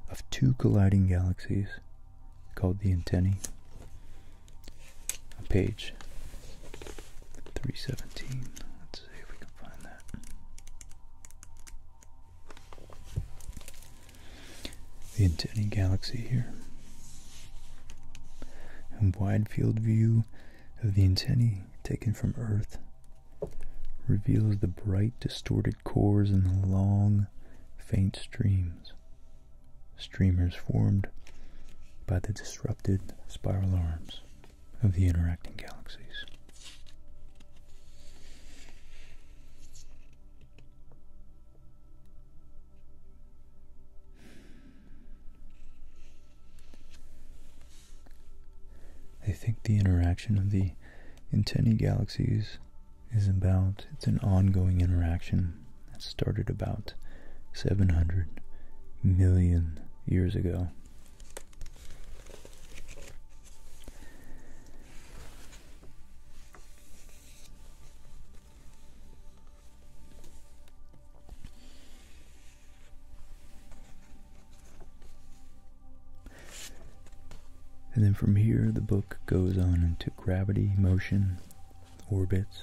of two colliding galaxies called the antennae. page 317. Let's see if we can find that. The antennae galaxy here. And wide field view of the antennae taken from Earth reveals the bright, distorted cores and the long, faint streams. Streamers formed by the disrupted spiral arms of the interacting galaxies. They think the interaction of the antennae galaxies is about, it's an ongoing interaction that started about 700 million years ago. And then from here, the book goes on into gravity, motion, orbits,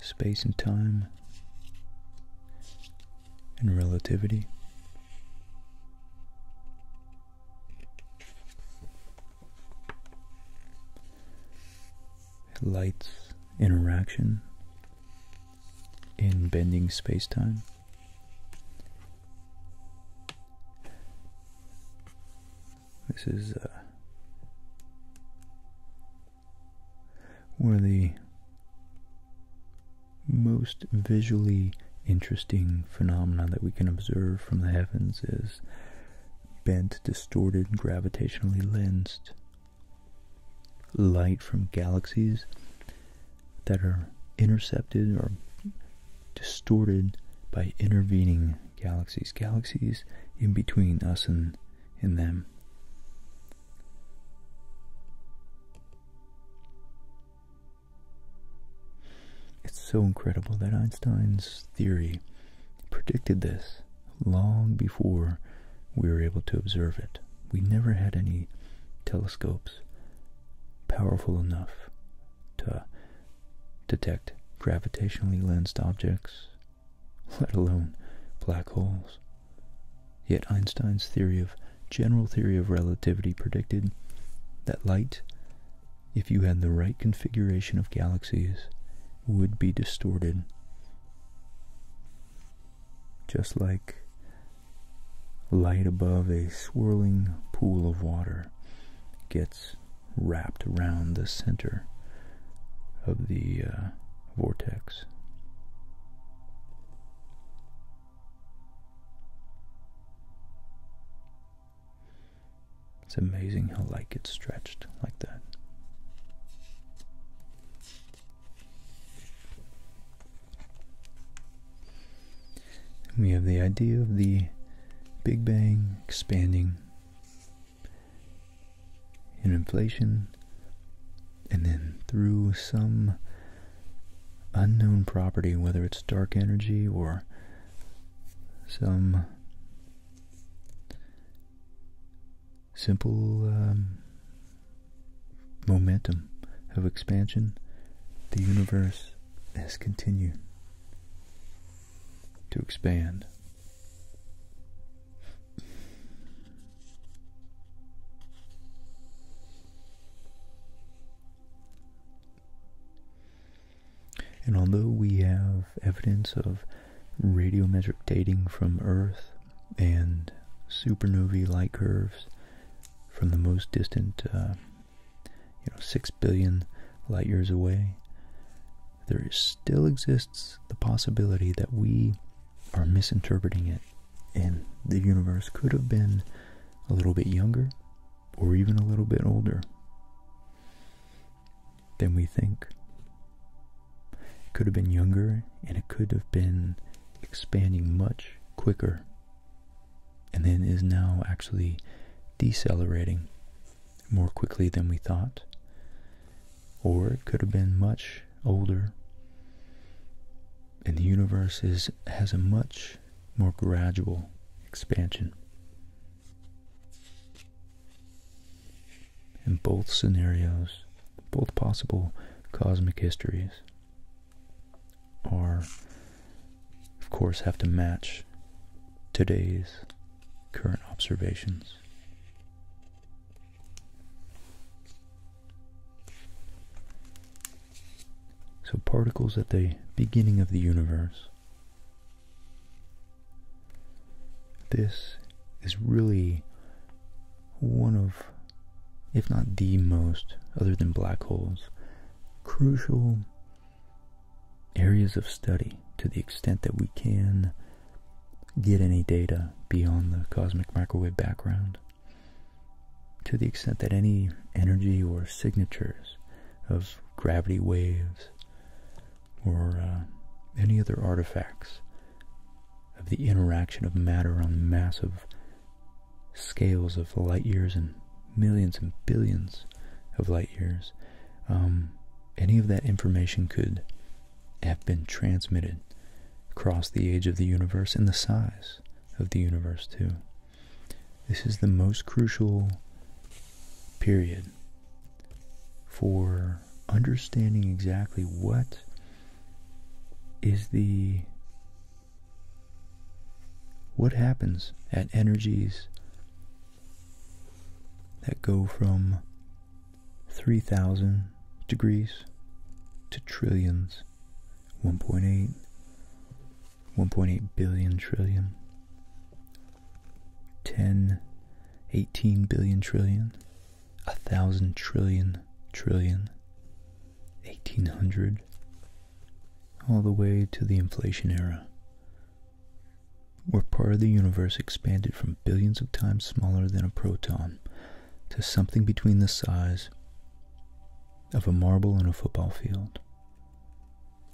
space and time, and relativity light's interaction in bending space-time. This is uh, one of the most visually interesting phenomena that we can observe from the heavens is bent, distorted, gravitationally lensed light from galaxies that are intercepted or distorted by intervening galaxies, galaxies in between us and, in them. It's so incredible that Einstein's theory predicted this long before we were able to observe it. We never had any telescopes powerful enough to detect gravitationally lensed objects, let alone black holes. Yet Einstein's theory of general theory of relativity predicted that light, if you had the right configuration of galaxies, would be distorted just like light above a swirling pool of water gets wrapped around the center of the uh, vortex. It's amazing how light gets stretched like that we have the idea of the Big Bang expanding in inflation, and then through some unknown property, whether it's dark energy or some simple um, momentum of expansion, the universe has continued to expand. And although we have evidence of radiometric dating from Earth and supernovae light curves from the most distant, uh, you know, 6 billion light years away, there still exists the possibility that we are misinterpreting it and the universe could have been a little bit younger or even a little bit older than we think. It could have been younger and it could have been expanding much quicker and then is now actually decelerating more quickly than we thought. Or it could have been much older and the universe is has a much more gradual expansion in both scenarios, both possible cosmic histories are, of course, have to match today's current observations. So, particles at the beginning of the universe. This is really one of, if not the most, other than black holes, crucial areas of study to the extent that we can get any data beyond the cosmic microwave background. To the extent that any energy or signatures of gravity waves or uh, any other artifacts of the interaction of matter on massive scales of light years and millions and billions of light years, um, any of that information could have been transmitted across the age of the universe and the size of the universe, too. This is the most crucial period for understanding exactly what is the what happens at energies that go from 3000 degrees to trillions 1.8 1.8 billion trillion 10 18 billion trillion a thousand trillion trillion 1800 all the way to the inflation era where part of the universe expanded from billions of times smaller than a proton to something between the size of a marble and a football field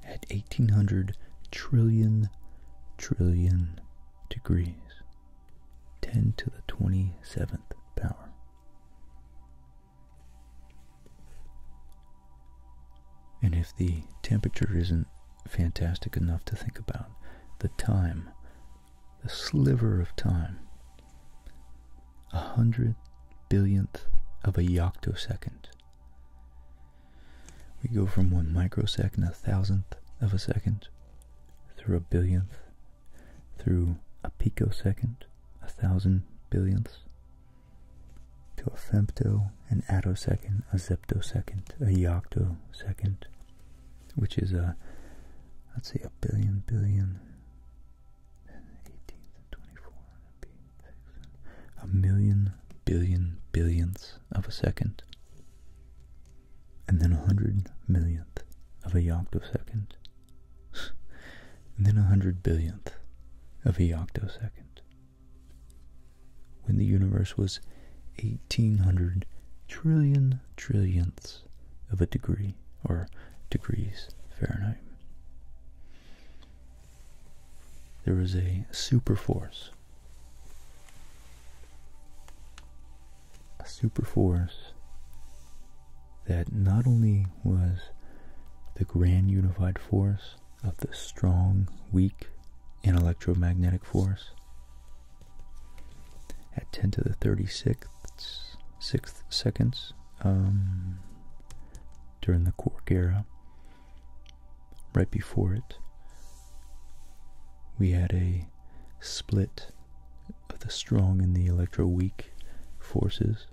at 1800 trillion trillion degrees 10 to the 27th power and if the temperature isn't fantastic enough to think about, the time, the sliver of time, a hundred billionth of a yoctosecond. We go from one microsecond, a thousandth of a second, through a billionth through a picosecond, a thousand billionths, to a femto, an attosecond, a zeptosecond, a yoctosecond, which is a, let's say a billion, billion, and 24, a million, billion, billionths of a second, and then a hundred millionth of a yoctosecond, and then a hundred billionth of a octosecond. When the universe was 1800 trillion trillionths of a degree or degrees Fahrenheit. There was a super force a super force that not only was the grand unified force of the strong, weak, and electromagnetic force at 10 to the 36th sixth seconds um, during the quark era. Right before it, we had a split of the strong and the electroweak forces.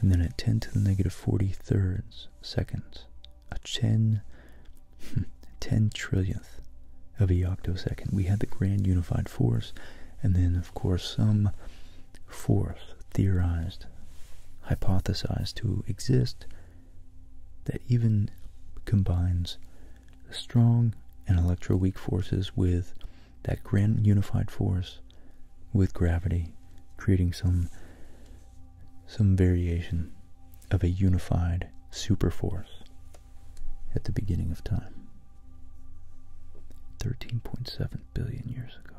And then at 10 to the negative 40 thirds seconds, a 10, hmm, 10 trillionth of a octosecond, we had the grand unified force, and then, of course, some force theorized, hypothesized to exist that even combines the strong and electroweak forces with that grand unified force with gravity, creating some some variation of a unified superforce at the beginning of time. 13.7 billion years ago.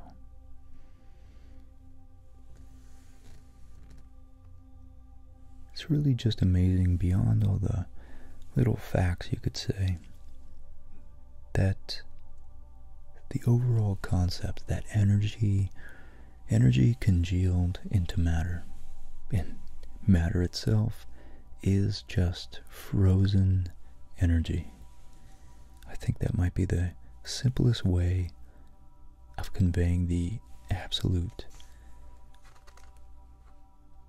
It's really just amazing beyond all the little facts you could say that the overall concept that energy energy congealed into matter and matter itself is just frozen energy. I think that might be the simplest way of conveying the absolute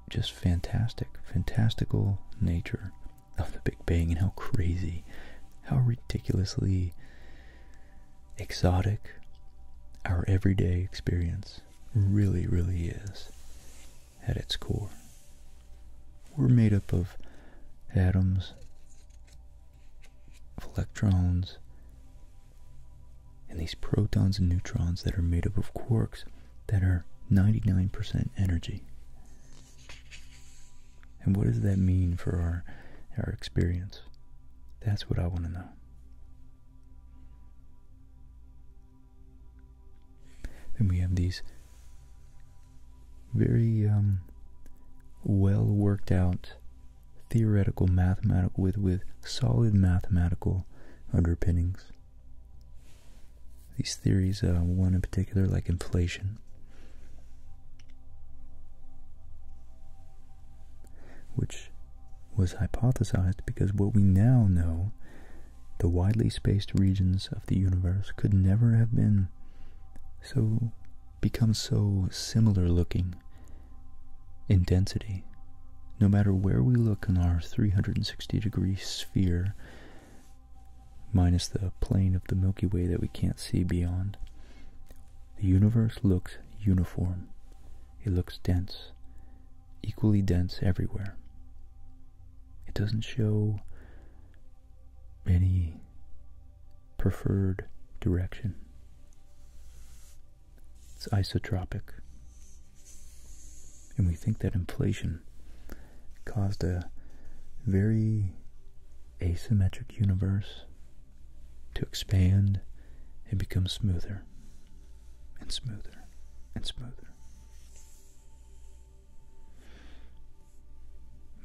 just fantastic, fantastical nature of the Big Bang and how crazy, how ridiculously exotic our everyday experience really, really is at its core. We're made up of atoms, of electrons, and these protons and neutrons that are made up of quarks that are 99% energy. And what does that mean for our, our experience? That's what I want to know. Then we have these very um, well worked out theoretical mathematical with with solid mathematical underpinnings these theories, uh, one in particular, like inflation, which was hypothesized because what we now know, the widely spaced regions of the universe, could never have been so, become so similar looking in density. No matter where we look in our 360 degree sphere, minus the plane of the Milky Way that we can't see beyond. The universe looks uniform. It looks dense, equally dense everywhere. It doesn't show any preferred direction. It's isotropic. And we think that inflation caused a very asymmetric universe to expand and become smoother and smoother and smoother.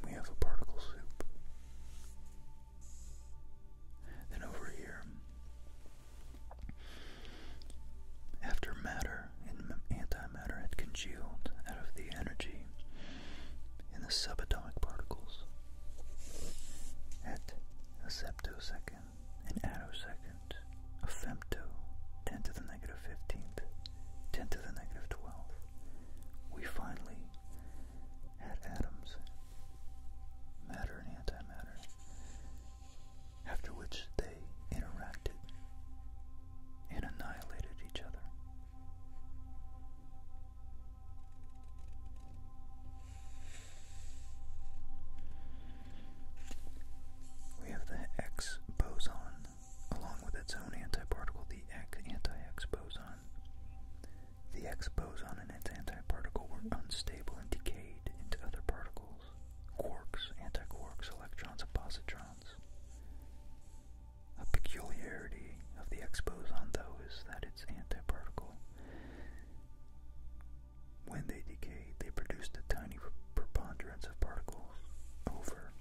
We have a particle soup. Then over here, after matter and antimatter had congealed out of the energy in the subatomic particles, at a septosecond, an attosecond, a femto, 10 to the negative 15th, 10 to the negative twelve, we finally had atoms, matter and antimatter, after which they interacted and annihilated each other. We have the X boson, along with its own antiparticle, the anti-X boson. The X boson and its antiparticle were unstable and decayed into other particles quarks, antiquarks, electrons, and positrons. A peculiarity of the exposon, though, is that it's antiparticle. When they decay, they produce a tiny preponderance of particles over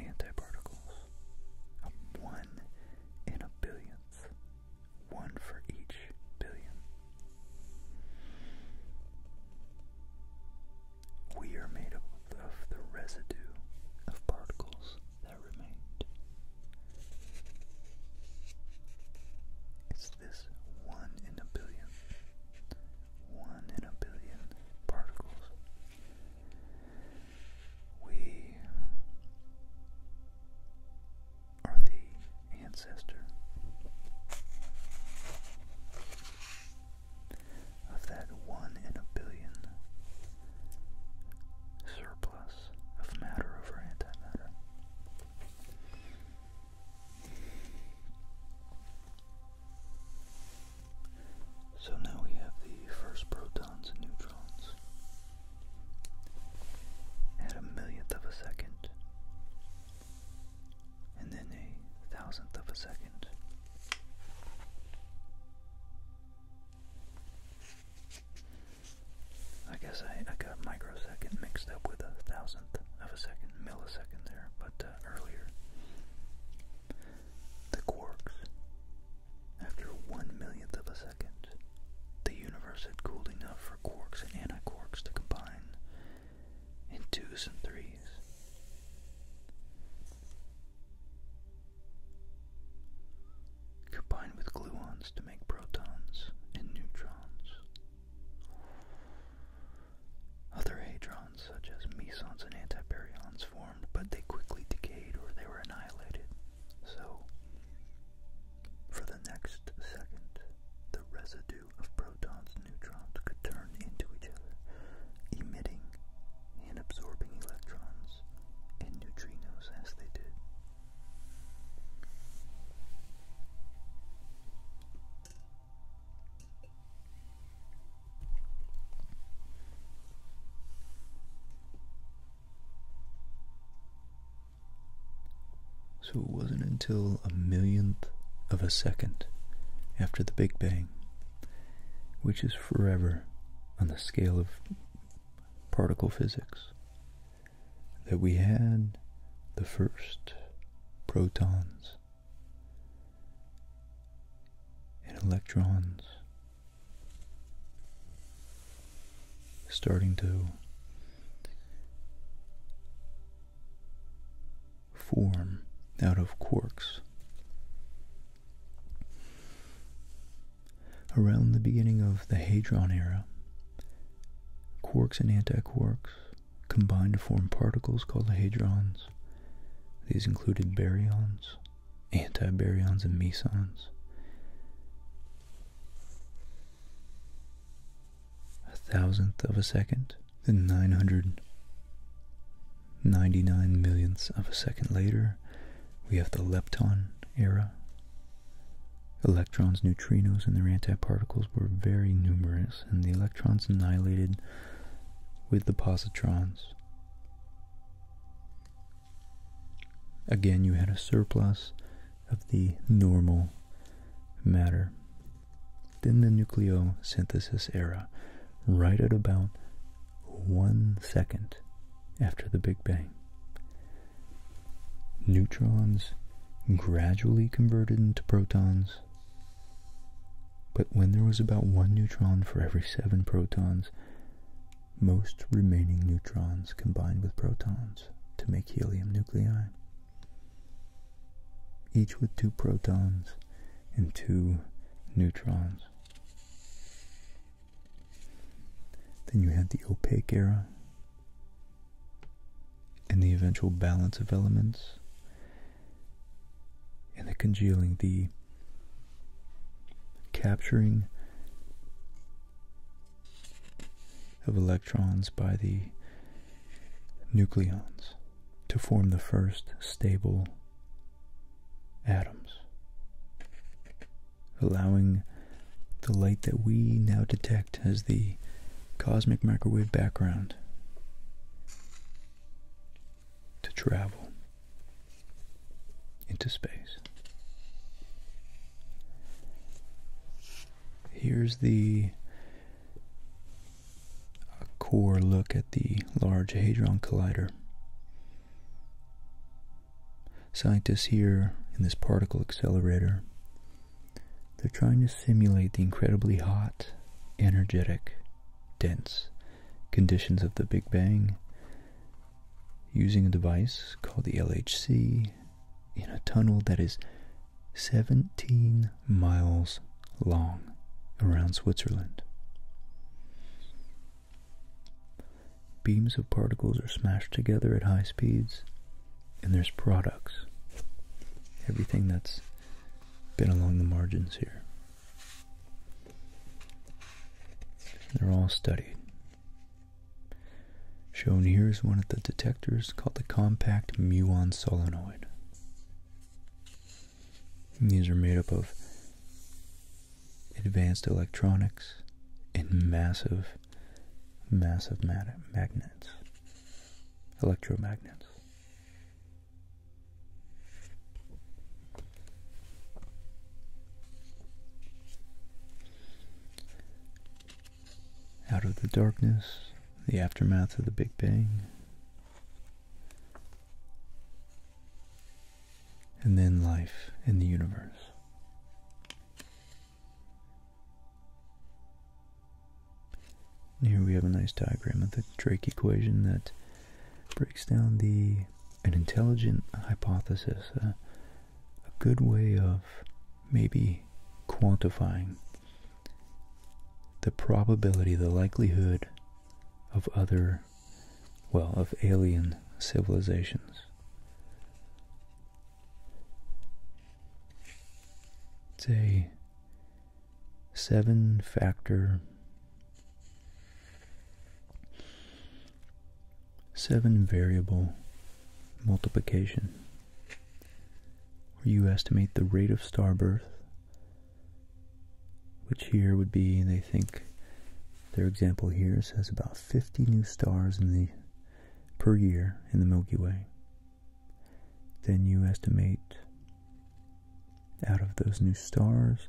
antiparticles. A one in a billionth. One for each billion we are made up of the residue of particles that remained. It's this one in a billion, one in a billion particles. We are the ancestor of that one in a billion surplus of matter over antimatter. So now we have the first protons and neutrons. At a millionth of a second, and then a thousandth of a second. I guess I, I got microsecond mixed up with a thousandth of a second, millisecond there, but uh, earlier. The quarks. After one millionth of a second, the universe had cooled enough for quarks and anti-quarks to combine in twos and threes. Combine with gluons to make protons and neutrons. Other hadrons, such as mesons and antiperions, formed, but they quickly decayed or they were annihilated. So, for the next second, the residue of protons and neutrons could turn into each other, emitting and absorbing electrons and neutrinos as they did. So it wasn't until a millionth of a second after the Big Bang which is forever on the scale of particle physics, that we had the first protons and electrons starting to form out of quarks. Around the beginning of the Hadron era, quarks and antiquarks combined to form particles called hadrons. These included baryons, antibaryons, and mesons. A thousandth of a second then 999 millionths of a second later, we have the lepton era. Electrons, neutrinos, and their antiparticles were very numerous, and the electrons annihilated with the positrons. Again, you had a surplus of the normal matter. Then the nucleosynthesis era, right at about one second after the Big Bang. Neutrons gradually converted into protons, but when there was about one neutron for every seven protons, most remaining neutrons combined with protons to make helium nuclei, each with two protons and two neutrons. Then you had the Opaque era and the eventual balance of elements and the congealing, the capturing of electrons by the nucleons to form the first stable atoms, allowing the light that we now detect as the cosmic microwave background to travel into space. Here's the a core look at the Large Hadron Collider. Scientists here in this particle accelerator, they're trying to simulate the incredibly hot, energetic, dense conditions of the Big Bang using a device called the LHC in a tunnel that is 17 miles long around Switzerland. Beams of particles are smashed together at high speeds, and there's products. Everything that's been along the margins here. They're all studied. Shown here is one of the detectors called the compact muon solenoid these are made up of advanced electronics and massive, massive magnets, electromagnets. Out of the darkness, the aftermath of the Big Bang, and then life in the universe. here we have a nice diagram of the Drake equation that breaks down the an intelligent hypothesis, a good way of maybe quantifying the probability, the likelihood of other well, of alien civilizations. It's a seven factor, seven variable multiplication, where you estimate the rate of star birth which here would be, they think, their example here says about 50 new stars in the per year in the Milky Way. Then you estimate out of those new stars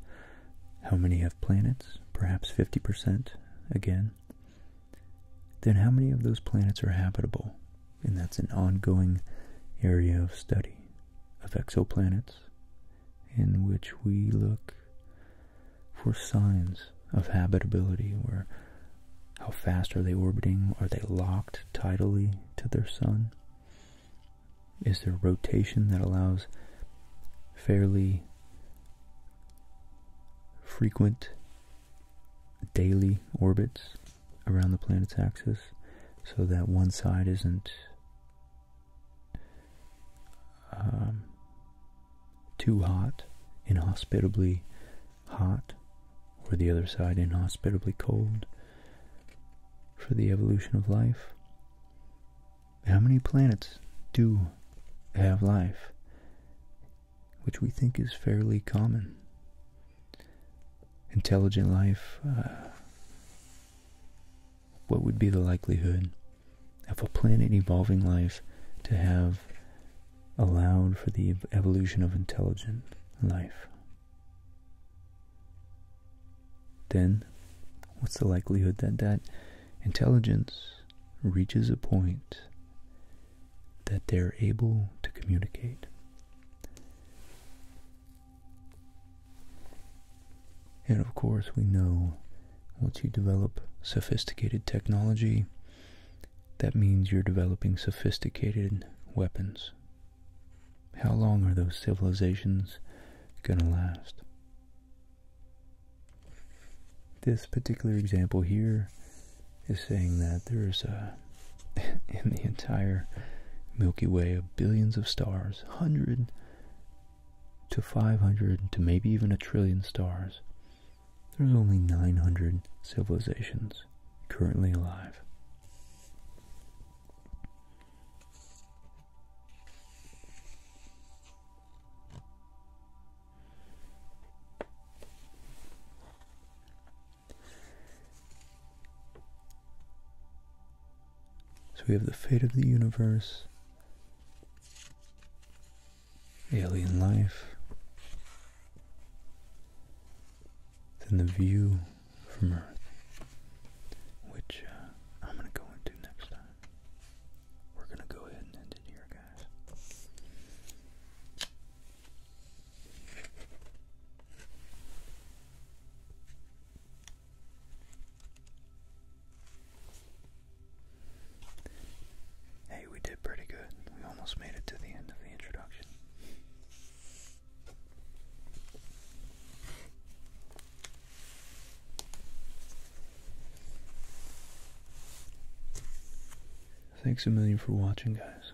how many have planets, perhaps 50% again. Then how many of those planets are habitable? And that's an ongoing area of study of exoplanets in which we look for signs of habitability Where, how fast are they orbiting? Are they locked tidally to their sun? Is there rotation that allows fairly frequent daily orbits around the planet's axis so that one side isn't um, too hot, inhospitably hot, or the other side, inhospitably cold for the evolution of life. How many planets do have life? Which we think is fairly common. Intelligent life, uh, what would be the likelihood of a planet evolving life to have allowed for the evolution of intelligent life, then what's the likelihood that that intelligence reaches a point that they're able to communicate? And of course, we know once you develop sophisticated technology, that means you're developing sophisticated weapons. How long are those civilizations going to last? This particular example here is saying that there's in the entire Milky Way of billions of stars, hundred to 500 to maybe even a trillion stars, there's only 900 civilizations currently alive. So we have the fate of the universe, alien life, then the view from Earth, which uh, I'm going to go into next time. We're going to go ahead and end it here, guys. Hey, we did pretty good. We almost made it to the end of the introduction. Thanks a million for watching, guys.